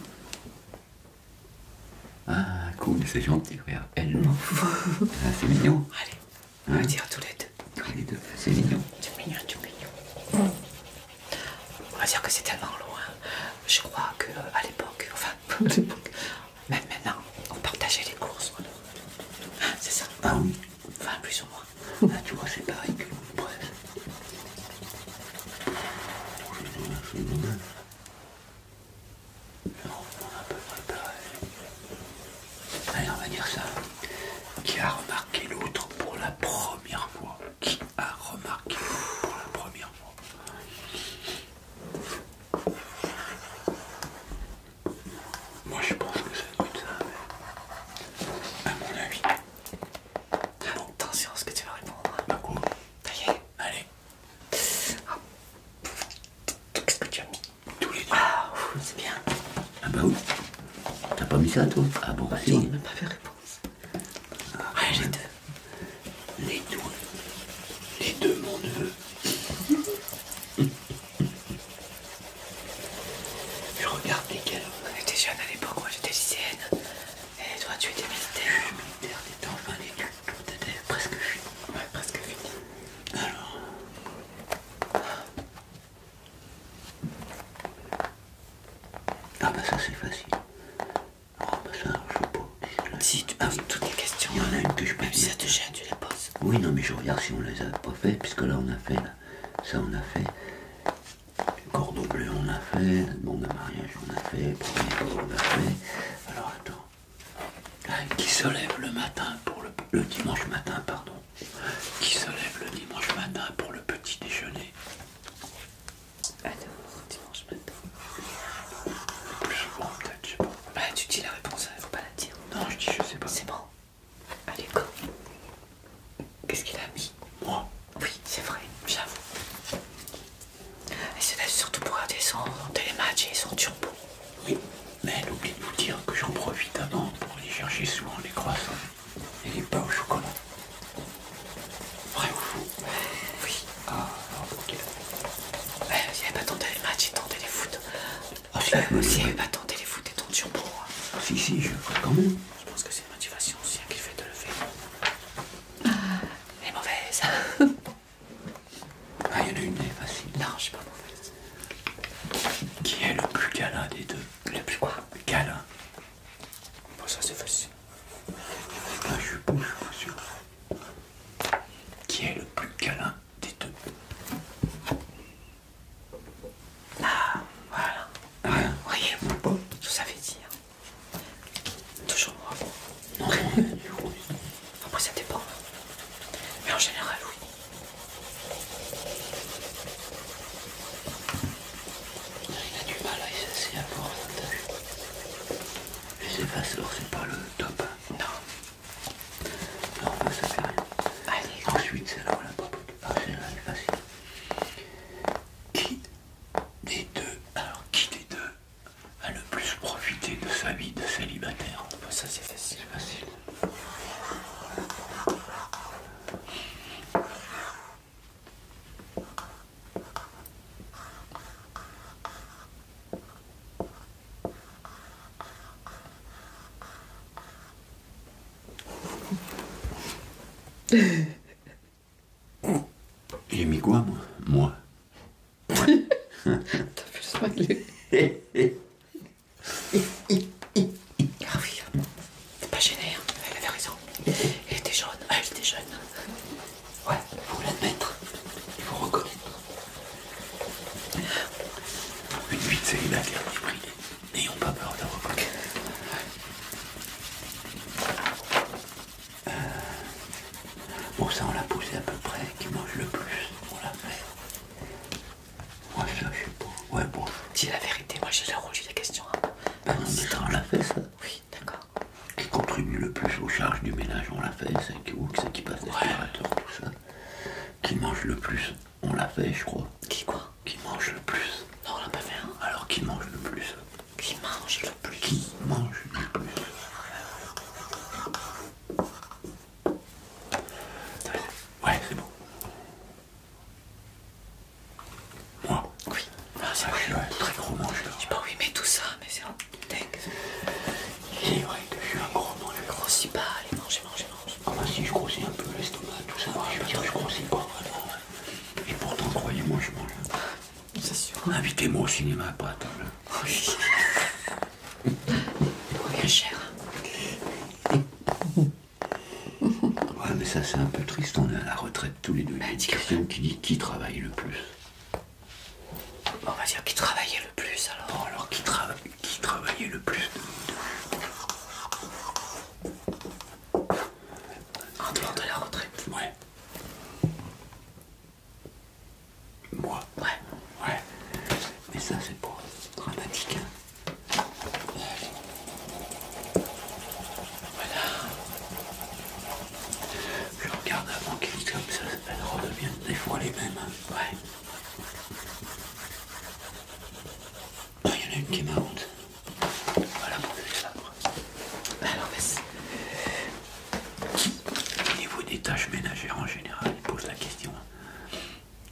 Speaker 1: Ah cool, c'est gentil, regarde. Elle non. ah, c'est mignon. Allez, on hein va dire tous les deux. Tous les deux, c'est mignon. C'est mignon, c'est mignon. On va dire que c'est tellement loin. Je crois que à l'époque, enfin, même maintenant, on partageait les courses. Hein, c'est ça. Ah oui. Enfin, plus ou moins. Là, ah, tu vois, c'est pareil que l'on presse. non, on Allez, on va dire ça. Qui a remarqué l'autre pour la première fois Qui a remarqué l'outre pour la première fois moi je pense que ça doit ça, à mon avis. Attention à ce que tu vas répondre. Bah quoi Ça y est. Allez. Qu'est-ce que tu as mis Tous les deux. Ah, c'est bien. Ah bah oui. T'as pas mis ça toi Ah bon, bah, Je n'ai même pas fait réponse. Ah, les ah, deux. Les deux. Les deux, mon neveu. Je regarde lesquels. On était jeunes à l'époque, moi j'étais lycéenne. Et toi tu étais militaire. Je suis militaire, t'étais en fin d'études, t'étais presque fini. Ouais, presque fini. Alors. Ah bah ça c'est facile. Ah oh, bah ça, je sais pas. Si tu as toutes les questions. Il y en a hein. une que je peux dire. si ça te gêne, tu les poses. Oui, non mais je regarde si on les a pas fait, puisque là on a fait, ça on a fait. Le cordon bleu, on a fait. La de mariage, on a fait. Premier tour, on a fait. Alors attends. Ah, qui se lève le matin pour le, dimanche matin, pardon. Qui se lève le dimanche matin pour le petit déjeuner Attends. dimanche matin. Plus souvent peut-être, je sais pas. Bah, tu dis la réponse, hein, faut pas la dire. Non, je dis je sais pas. C'est bon. Allez, go Qu'est-ce qu'il a mis Moi Oui, c'est vrai, j'avoue. Et c'est surtout pour regarder son télématch et son turbo. Oui, mais elle pas de vous dire que j'en profite avant pour aller chercher souvent les croissants et les pains au chocolat. Vrai ou faux Oui. Ah, ok. Ouais, euh, il n'y avait pas ton télématch et ton téléfoot. foot. Ah, si, aussi, euh, il n'y avait pas ton téléfoot et ton turbo. Hein. Si, si, je ferai quand même. Je pense que c'est une motivation aussi à hein, qui fait de le faire. Ah. Elle est mauvaise. Ah, il y en a une, elle est facile. Non, je suis pas mauvaise. Qui est le plus câlin des deux Le plus quoi Bon, ça c'est facile. Ah, je suis pas sûr. Qui est le plus câlin des deux ah, voilà. rien Voyez, bon. tout ça fait dire. Toujours moi. Non, non, Après, ça dépend. Mais en général, oui. Il a du mal à essayer à voir Les effaceurs, c'est pas le top. Hein. Non. Non, ça fait rien. Allez, Ensuite, c'est là où la qui des deux, alors qui deux a le plus profité de sa vie de célibataire Ça c'est facile. facile. J'ai mis quoi, moi Moi. T'as vu smiler Ah oui, c'est pas gêné, hein. elle avait raison. Elle était jeune, ah, elle était jeune. Ouais, il faut l'admettre, il faut reconnaître. Une vite c'est la dernière prix. N'ayons pas peur de bon, ça, on l'a poussé à peu près, qui mange le plus, on l'a fait. Moi, ça, je sais pas. Ouais, bon. Dis la vérité, moi j'ai le rouge, la question. Ben on l'a fait, ça. Oui, d'accord. Qui contribue le plus aux charges du ménage, on l'a fait, c'est qui, c'est qui passe des tout ça. Qui mange le plus on l'a fait, je crois. Qui quoi Qui mange le plus Non, on l'a pas fait. Hein. Alors qui mange le plus Qui mange le plus Qui mange le plus Ouais, c'est bon. Moi Oui. Ah, ah c'est Je très gros mangeur. Je sais pas oui, mais tout ça, mais c'est un dingue. C'est vrai que je suis un gros mangeur. Je grossis pas, allez, mange, mange, mange. Ah bah si, je grossis un peu l'estomac, tout ça. Je je, je grossis quoi et pourtant, croyez-moi, je mange. C'est sûr. Invitez-moi au cinéma, pas à table. cher. Ouais, mais ça, c'est un peu triste. On est à la retraite tous les deux. Bah, qui dit qui travaille le plus. On va dire qui travaillait le plus, alors. alors, qui, travaille qui travaillait le plus en dehors de la retraite Ouais. Moi Ouais. Ouais. Mais ça, c'est pas dramatique. Hein. Voilà. Je regarde avant qu'elle comme ça, elles redeviennent des fois les mêmes. Hein. Ouais. Il y en a une qui est Voilà pour le sabre. Alors, au niveau des tâches ménagères en général, il pose la question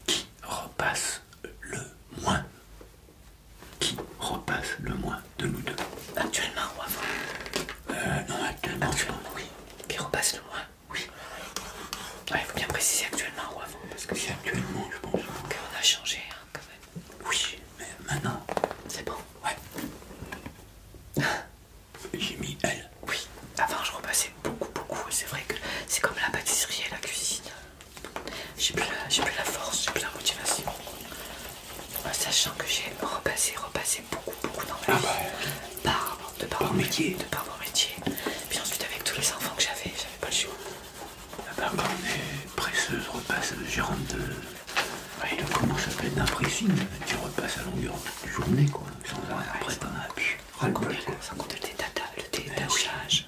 Speaker 1: qui repasse le moins Qui repasse le moins de nous deux Actuellement ou avant Euh, non, actuellement, actuellement oui. Qui repasse le moins Oui. Il faut bien préciser actuellement ou avant, parce que c'est actuellement, je pense. Qu'on a changé, hein, quand même. Oui, mais maintenant, c'est bon. Ouais. J'ai mis elle. Oui, avant je repassais beaucoup, beaucoup. C'est vrai que c'est comme la pâtisserie et la cuisine. J'ai plus, la force, j'ai plus la motivation. Sachant que j'ai repassé, repassé beaucoup, beaucoup dans ma ah bah, par, de par, métier. De par mon métier. Puis ensuite, avec tous les enfants que j'avais, j'avais pas le choix. La on est presseuse, repasse, gérante de. comment ça s'appelle être qui tu repasses à longueur de journée, quoi. Sans arrêt, ouais, après, t'en as Sans le détachage. Le eh détachage.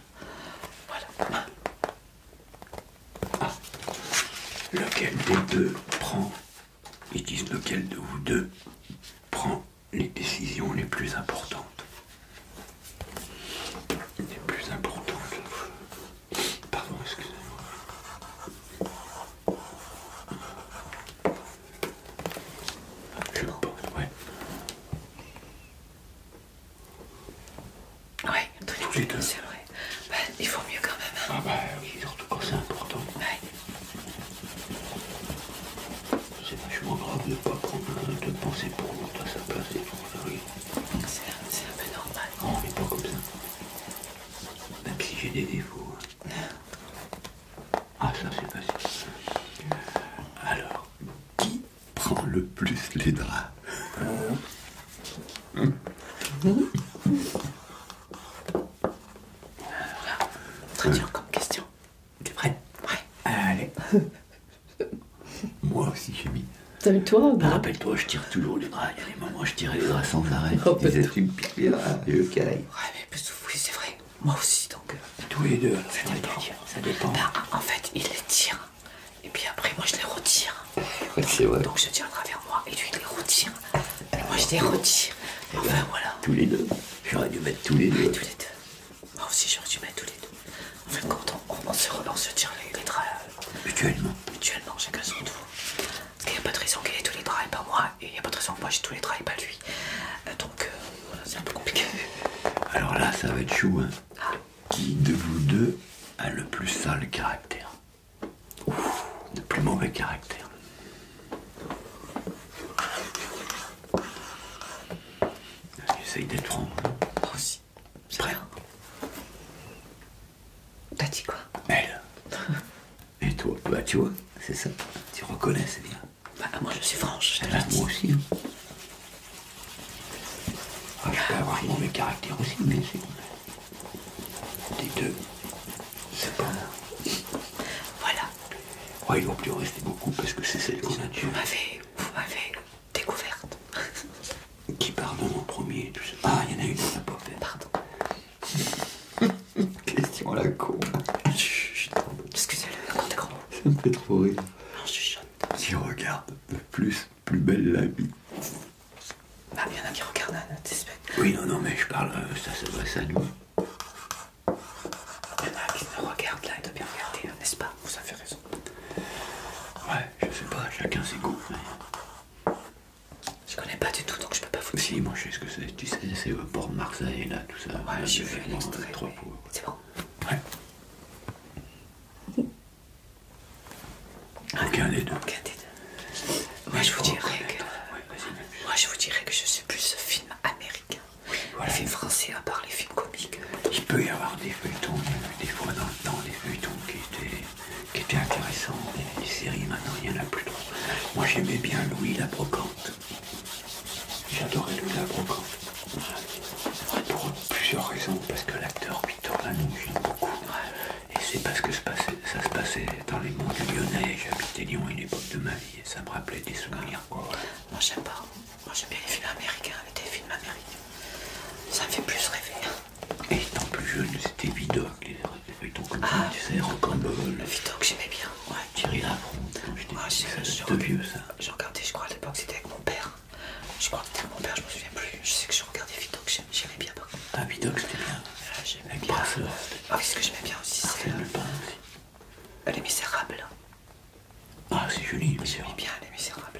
Speaker 1: Voilà. Ah. ah. Lequel des deux prend, ils disent lequel de vous deux prend les décisions les plus importantes c'est plus important que Pardon, excusez-moi. Je pense, ouais. Ouais, très Tous les deux. C'est vrai. il vaut mieux quand même. Hein. Ah bah oui, surtout quand c'est important. C'est vachement grave de ne pas prendre de penser pour l'autre à sa place et pour ça. C'est un, peu normal. On mais pas comme ça. Même si j'ai des défauts. Ah, ça c'est facile. Alors, qui prend le plus les draps très dur comme question. T'es prêt Ouais. Allez. Moi aussi, j'ai mis. T'as mis toi Rappelle-toi, je tire toujours les bras. Il y a des moments où je tirais les bras sans arrêt. Oh, je disais, tu me piques les Ouais, mais oui, c'est vrai. Moi aussi, donc. Euh, tous les deux, ça, dépend. Bah, en fait, il les tire. Et puis après, moi, je les retire. Donc, je tire à travers moi. Et lui, il les retire. moi, je les retire. voilà. Tous les deux. J'aurais dû mettre tous les deux. Tous les deux. Moi aussi, j'aurais dû mettre tous les deux. On fait En on, se relance, se tire les, euh, Mutuellement. Mutuellement, chacun son tour. Parce qu'il n'y a pas de raison qu'il ait tous les draps pas moi, et il n'y a pas de raison que moi j'ai tous les draps pas lui. Euh, donc, euh, voilà, c'est un peu compliqué. Alors là, ça va être chaud. hein. Ah. Qui de vous deux a le plus sale caractère Ouf, le plus mauvais caractère. Essaye d'être franc. aussi. C'est vrai. T'as dit quoi Elle. Et toi Bah tu vois, c'est ça. Tu reconnais, c'est bien. Bah moi je suis franche. moi aussi. Hein. Ah, je peux avoir un mauvais caractère aussi, mais c'est... Les deux, c'est pas Voilà. Ouais, ils vont plus rester beaucoup parce que c'est celle qu'on a tué. Vous m'avez, vous m'avez découverte. Qui pardonne en premier Ah, il y en a une qui n'a pas fait. Pardon. Question à la con. excusez-le, t'es grand. Ça me fait trop rire. Non, je chuchote. Si on regarde, plus, plus belle la vie. Bah, il y en a qui regardent à Oui, non, non, mais je parle, euh, ça, ça s'adresse à nous. Il y en a qui me regardent là, et doivent bien regarder, n'est-ce pas vous avez raison. Ouais, je sais pas, chacun ses goûts. Je connais pas du tout donc je peux pas vous dire. Si, moi je sais ce que c'est, tu sais, c'est le port Marseille là, tout ça. Ouais, je j'ai trois fois. C'est bon Ouais. Aucun des deux. Un des deux. Moi je vous dirais que. Moi je vous dirais que je suis plus film américain. Oui, voilà. Film français, à part les films comiques. Il peut y avoir des feuilletons, des fois dans dans les feuilletons qui étaient, qui étaient intéressants, Les séries maintenant il n'y en a plus trop. Moi j'aimais bien Louis la Brocante. J'adorais Louis la Brocante. Pour plusieurs raisons, parce que l'acteur Victor Lanoux j'aime beaucoup. Et c'est parce que ça, se passait dans les monts du Lyonnais, j'habitais Lyon à une époque de ma vie et ça me rappelait des souvenirs. Quoi. Moi j'aime pas. Moi bien les films américains, avec des films américains. Ça me fait plus rêver. Et étant plus jeune, c'était Vidocq, les, feuilletons comme ça, ah, tu sais, Rocambole. Le j'aimais bien. Ouais, Thierry Lavron. c'était ah, vieux ça. J'ai regardé, je crois, à l'époque, c'était avec mon père. Je crois que c'était avec mon père, je me souviens plus. Je sais que j'ai regardé Vidocq, j'aimais bien. Ah, Vidocq, c'était bien. Ah, j'aimais bien. Ah, ce que j'aimais bien aussi, c'est. Elle euh, est Les Ah, c'est joli, J'aimais bien elle est misérable.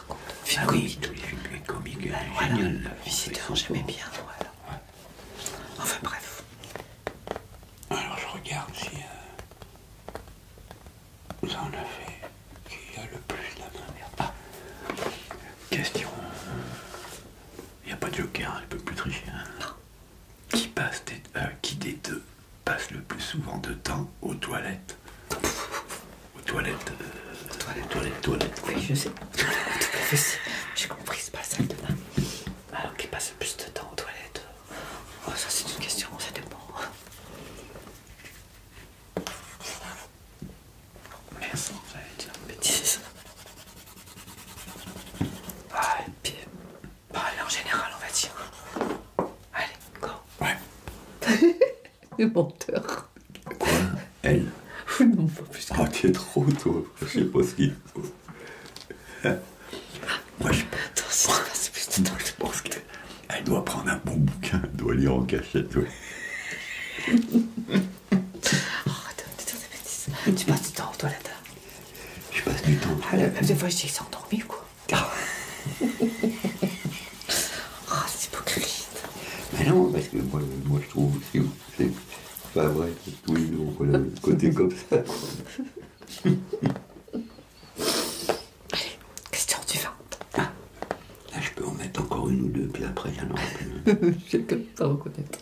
Speaker 1: par contre. Ah Film comique. tous les films comiques. voilà. j'aimais bien. Enfin bref. Alors je regarde si ça euh, en a fait qui a le plus la main. Ah. Question. Il n'y a pas de joker, on hein, ne peut plus tricher. Hein. Non. Qui passe des, deux Qui des deux passe le plus souvent de temps aux toilettes. Aux toilettes. aux euh, toilettes, toilettes, toilettes. Oui, je sais. J'ai compris, c'est pas la salle de bain. Alors qui passe le plus de temps aux toilettes oh, ça c'est une question, ça dépend. Merci, va dire une bêtise. Ah, et puis, bah, en général, on va dire. Allez, go. Ouais. Le menteur. Quoi Elle Non, pas Ah, t'es trop, toi. Je sais pas ce qu'il faut. Moi, je pense, Moi, je pense qu'elle doit prendre un bon bouquin, elle doit lire en cachette. Ouais. Oh, attends, attends, Tu passes du temps aux toilettes. Je passe du temps. Ah, la des fois, je dis ou quoi oh, c'est hypocrite. Mais non, parce que moi, je trouve que c'est pas vrai que tous les deux côté comme ça. Allez, question vin. Ah, là, je peux en mettre encore une ou deux, puis après, il y en aura plus. pas au reconnaître.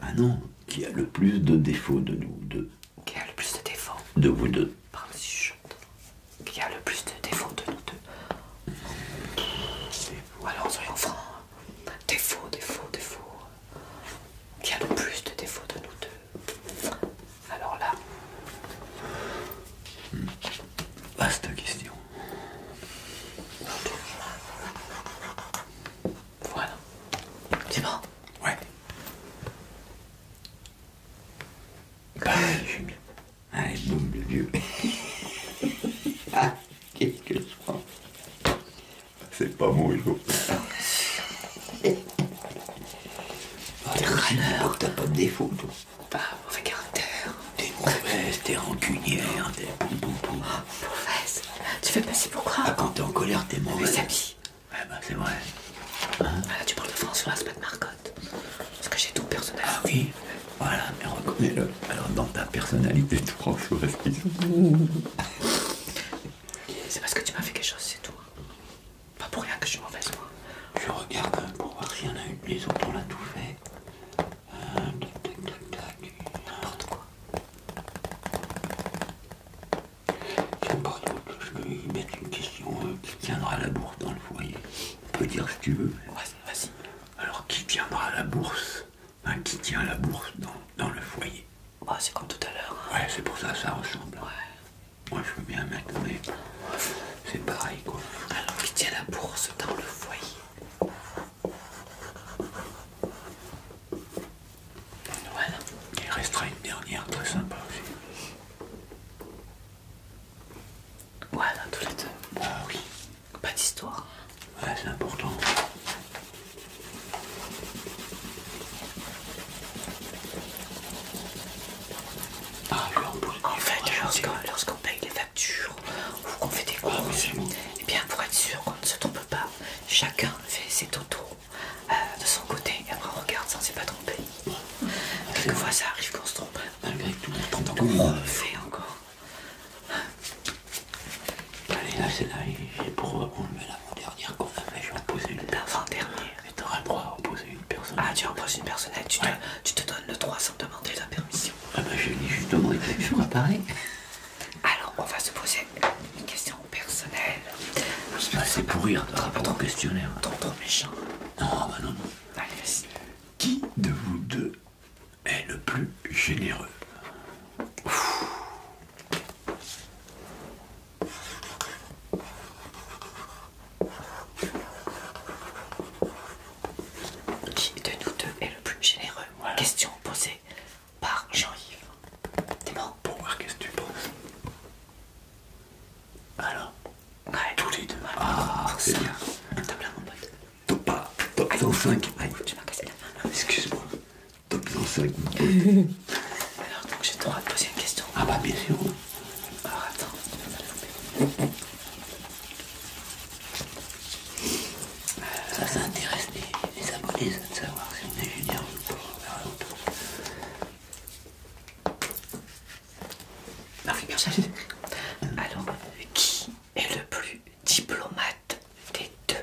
Speaker 1: Ah non, qui a le plus de défauts de nous deux Qui a le plus de défauts De vous deux. Pardon, je qui a le plus de défauts de nous deux. Alors soyons francs, hein. défauts, défauts, défauts. Qui a le plus de défauts de nous deux Alors là. Vaste question. Voilà. C'est bon Ouais. Bah, Allez, ah, boum, le vieux. Ah, qu'est-ce que je prends C'est pas mon vélo. Oh, t'es râleur. T'as pas de défaut, toi. T'as un mauvais caractère. T'es mauvaise, t'es rancunière, t'es bon poum Mauvaise Tu fais passer pour quoi ah, quand t'es en colère, t'es mauvaise. Mais bah, c'est vrai. tu parles de Françoise, pas de Marco. Parce que j'ai tout personnel. Ah oui, voilà, mais reconnais-le. Alors dans ta personnalité, tu prends tout C'est parce que tu m'as fait quelque chose, c'est tout. Pas pour rien que je suis mauvaise, moi. Je regarde pour voir s'il y en a une. Les autres, on l'a tout fait. Hum, N'importe quoi. C'est par je vais mettre une question euh, qui tiendra la bourse dans le foyer. On dire ce que tu veux. Vas-y. Alors, qui tiendra la bourse Qui tient la bourse dans, le foyer C'est comme tout à l'heure. Hein. Ouais, c'est pour ça que ça ressemble. Ouais. Moi, je veux bien mettre, mais c'est pareil, quoi. Alors, qui tient la bourse dans le foyer Voilà. Il restera une dernière très sympa aussi. Voilà, tous les deux. oui. Pas d'histoire. Ouais, c'est important. Ah, en, fait, lorsqu'on paye les factures ou qu'on fait des ah, courses, eh et bien pour être sûr qu'on ne se trompe pas, chacun fait ses totos euh, de son côté et après on regarde ça on s'est pas trompé quelquefois ça arrive qu'on se trompe, malgré tout, on oui. refait encore. Allez, là, c'est là j'ai pour enlever l'avant-dernière qu'on a fait, je vais en poser une. L'avant-dernière Et t'auras le droit à poser une personne. Ah, tu en poses une personnelle, eh, tu, te, donnes le droit sans demander la permission. Ah, bah, je dis justement, il fait toujours pareil. Alors, on va se poser une question personnelle. Bah, c'est pour rire, t'auras pas trop questionnaire. Hein. T'entends méchant. Non, ah, bah non, non. Qui de vous deux est le plus généreux Qui de nous deux est le plus généreux Question posée par Jean-Yves. Pour qu'est-ce que tu penses alors Tous les deux. ah, c'est bien. Top là, mon pote. Top pas. Top 105. Aïe. Tu m'as cassé la main. Excuse-moi. Top 25. Alors, donc, j'ai le droit de poser une question. Ah, bah, bien sûr. Alors, attends. Euh, ça, ça intéresse les, abonnés, de savoir si on est génial ou pas. Alors, qui est le plus diplomate des deux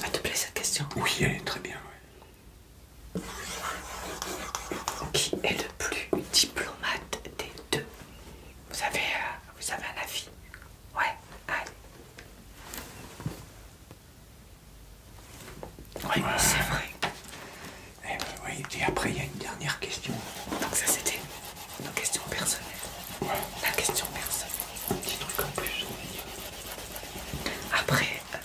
Speaker 1: Elle ah, te plaît cette question Oui, elle est très bien. Qui est le plus diplomate des deux vous avez, euh, vous avez un avis Ouais, Oui, c'est vrai. Eh ben et après il y a une dernière question. Donc ça c'était nos questions personnelles. La question personnelle. Petit truc Après, euh,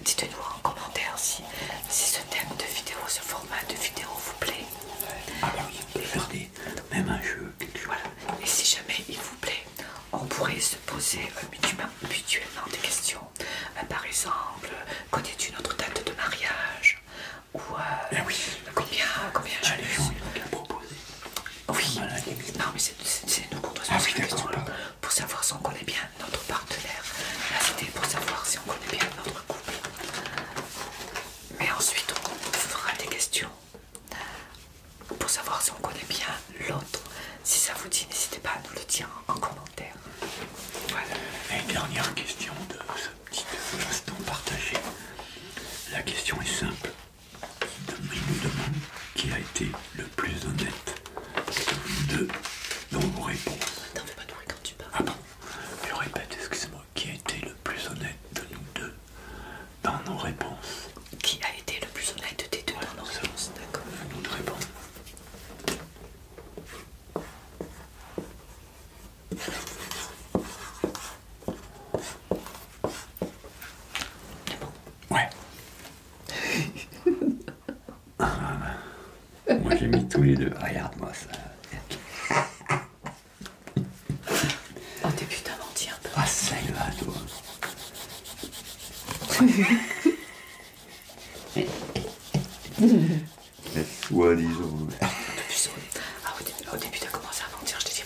Speaker 1: dites-nous en commentaire si, si ce thème de vidéo, ce format de vidéo vous plaît. Ah bah oui, faire des, même un jeu. Et si jamais il vous plaît, on pourrait se poser euh, mutuellement des questions. Euh, par exemple, connais-tu notre date de mariage ou euh, eh oui, combien, combien ah, Oui, non mais c'est se ah poser pour savoir si on connaît bien notre partenaire. c'était pour savoir si on connaît bien notre couple. Mais ensuite on fera des questions pour savoir si on connaît bien l'autre. Si ça vous dit, n'hésitez pas à nous le dire en commentaire. Et dernière question de ce petit instant partagé. La question est simple. Il nous demande qui a été le plus honnête de nous deux dans nos réponses. Attends, fais pas de quand tu Ah bon Je répète, excuse-moi, qui a été le plus honnête de nous deux dans nos réponses Qui a été le plus honnête des deux dans nos réponses D'accord. Nous Ouais. moi j'ai mis tous les deux. Regarde-moi ça. Oh, t'es putain menti un peu. Ah, va là toi. Mais soi-disant. Ah, au début, au début t'as commencé à mentir, je t'ai dit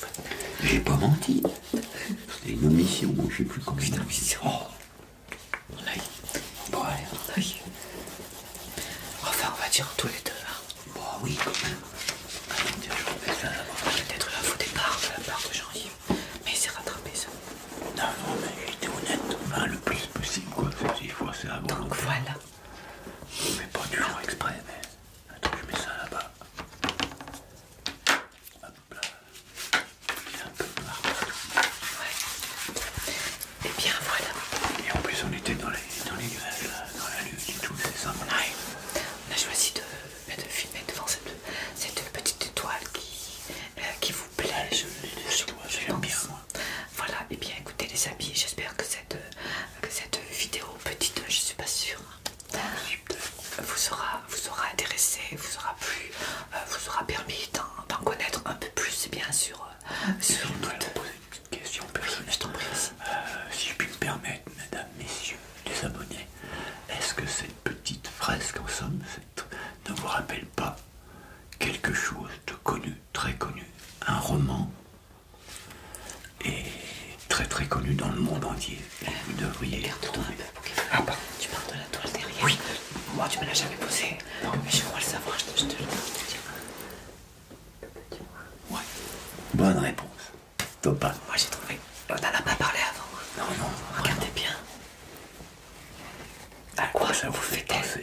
Speaker 1: J'ai pas menti. C'était une omission, je sais plus comment. Putain, omission. Oh. L'œil. Bon, allez. Enfin, on va dire tous les deux. Hein. Bon, bah oui, ah, Peut-être la faute est part de la part de Jean-Yves. Mais il s'est rattrapé, ça. Non, non, mais j'étais honnête. le plus possible, quoi. fois, c'est Donc voilà. Je met pas toujours exprès, mais attends, je mets ça là-bas. Hop là. Il est un peu Et bien voilà. Et en plus, on était dans les, dans nuages, dans la lune et tout, c'est ça Ouais. On a choisi de, bah, filmer devant cette, petite étoile qui, euh, vous plaît. je, le bien, moi. Voilà, et bien écoutez les amis, j'espère que cette, euh, cette vidéo petite, je suis pas sûre, euh, vous aura, vous intéressé, vous aura euh, vous permis d'en connaître un peu plus bien sûr si je puis me permettre, mesdames, messieurs, les abonnés, est-ce que cette petite fresque en somme ne vous rappelle pas quelque chose de connu, très connu, un roman, et très très connu dans le monde entier. vous devriez. Ah, tu parles de la toile derrière. Oui. Moi, tu me l'as jamais posé. Mais je crois le savoir, je te, le dis. Ouais. Bonne réponse. pas Moi, j'ai trouvé. On en a pas parlé avant. Non, non. Regardez bien. À quoi ça vous fait penser,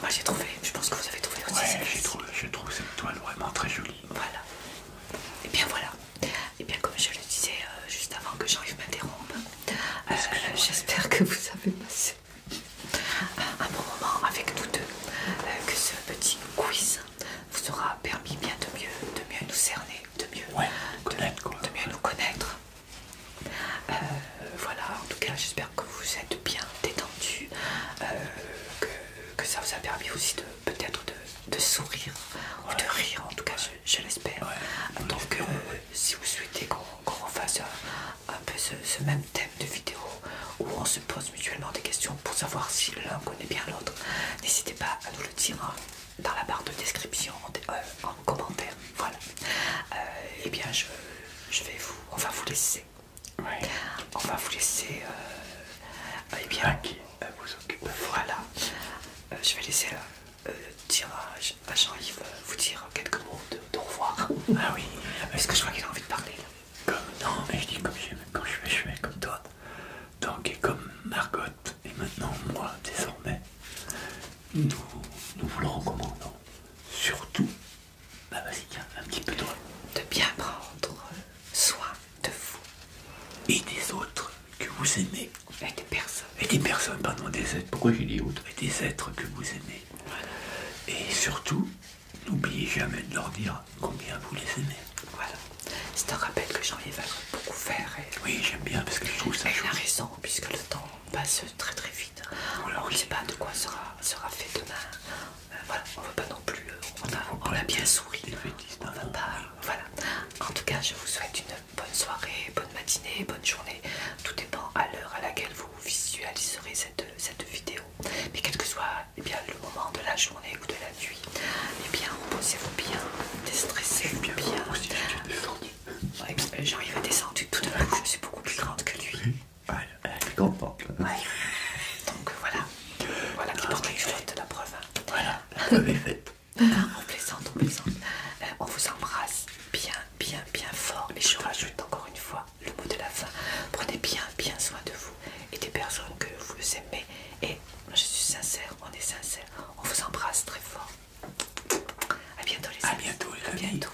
Speaker 1: Moi j'ai trouvé, je pense que vous avez trouvé aussi. j'ai trouvé, je trouve cette toile vraiment très jolie. Voilà. Et eh bien voilà. Et eh bien comme je le disais euh, juste avant que j'arrive m'interrompre, euh, j'espère que vous avez passé un bon moment avec nous deux, euh, que ce petit quiz vous aura permis bien de mieux, de mieux nous cerner, de mieux, de mieux nous connaître. Euh, voilà, en tout cas, j'espère que vous êtes bien détendus, euh, que, ça vous a permis aussi de peut-être de, sourire ou de rire, en tout cas, je, l'espère. Donc, euh, si vous souhaitez qu'on fasse un, peu ce, même thème de vidéo où on se pose mutuellement des questions pour savoir si l'un connaît bien l'autre, n'hésitez pas à nous le dire hein, dans la barre de description, en commentaire. Voilà. Euh, eh et bien, je, vais vous. On va vous laisser. On va vous laisser. et euh, eh bien. qui euh, vous occupe. Voilà. je vais laisser dire à, Jean-Yves vous dire quelques mots de, revoir. Ah oui. Parce que je crois qu'il a envie de parler. non, mais je dis comme quand je fais, je comme toi. Donc et comme Margot et maintenant moi désormais, nous vous le recommandons. Surtout bah vas-y, tiens, un petit peu de... De bien prendre soin de vous. Et des autres que vous aimez. Et des personnes. Et des personnes, pardon, des êtres. Pourquoi j'ai dit autres Et des êtres que vous aimez. Et surtout, n'oubliez jamais de leur dire combien vous les aimez. Voilà. C'est un rappel que j'en va beaucoup faire. Oui, j'aime bien parce que je trouve ça... Elle a raison, puisque le temps passe très très vite. Alors, on ne sait pas de quoi sera, fait demain. Euh, voilà, on ne veut pas non plus. on, a, bien souri. On va pas. Voilà. En tout cas, je vous souhaite une bonne soirée, bonne matinée, bonne journée. Tout dépend à l'heure à laquelle vous visualiserez cette, vidéo. Mais quel que soit eh bien, le moment de la journée ou de la nuit, eh bien, reposez-vous bien, déstressez-vous bien. bien. J'arrive à descendre tout de même, je suis beaucoup plus grande que lui. Voilà, elle est contente. Donc voilà. Voilà qui ah, porte les la preuve. Hein. Voilà, la preuve faite. on plaisante, on plaisante. Euh, on vous embrasse bien, bien, bien fort. Et je rajoute encore une fois le mot de la fin. Prenez bien, bien soin de vous et des personnes que vous aimez. Et je suis sincère, on est sincère. On vous embrasse très fort. A bientôt les amis. A bientôt les amis. À bientôt.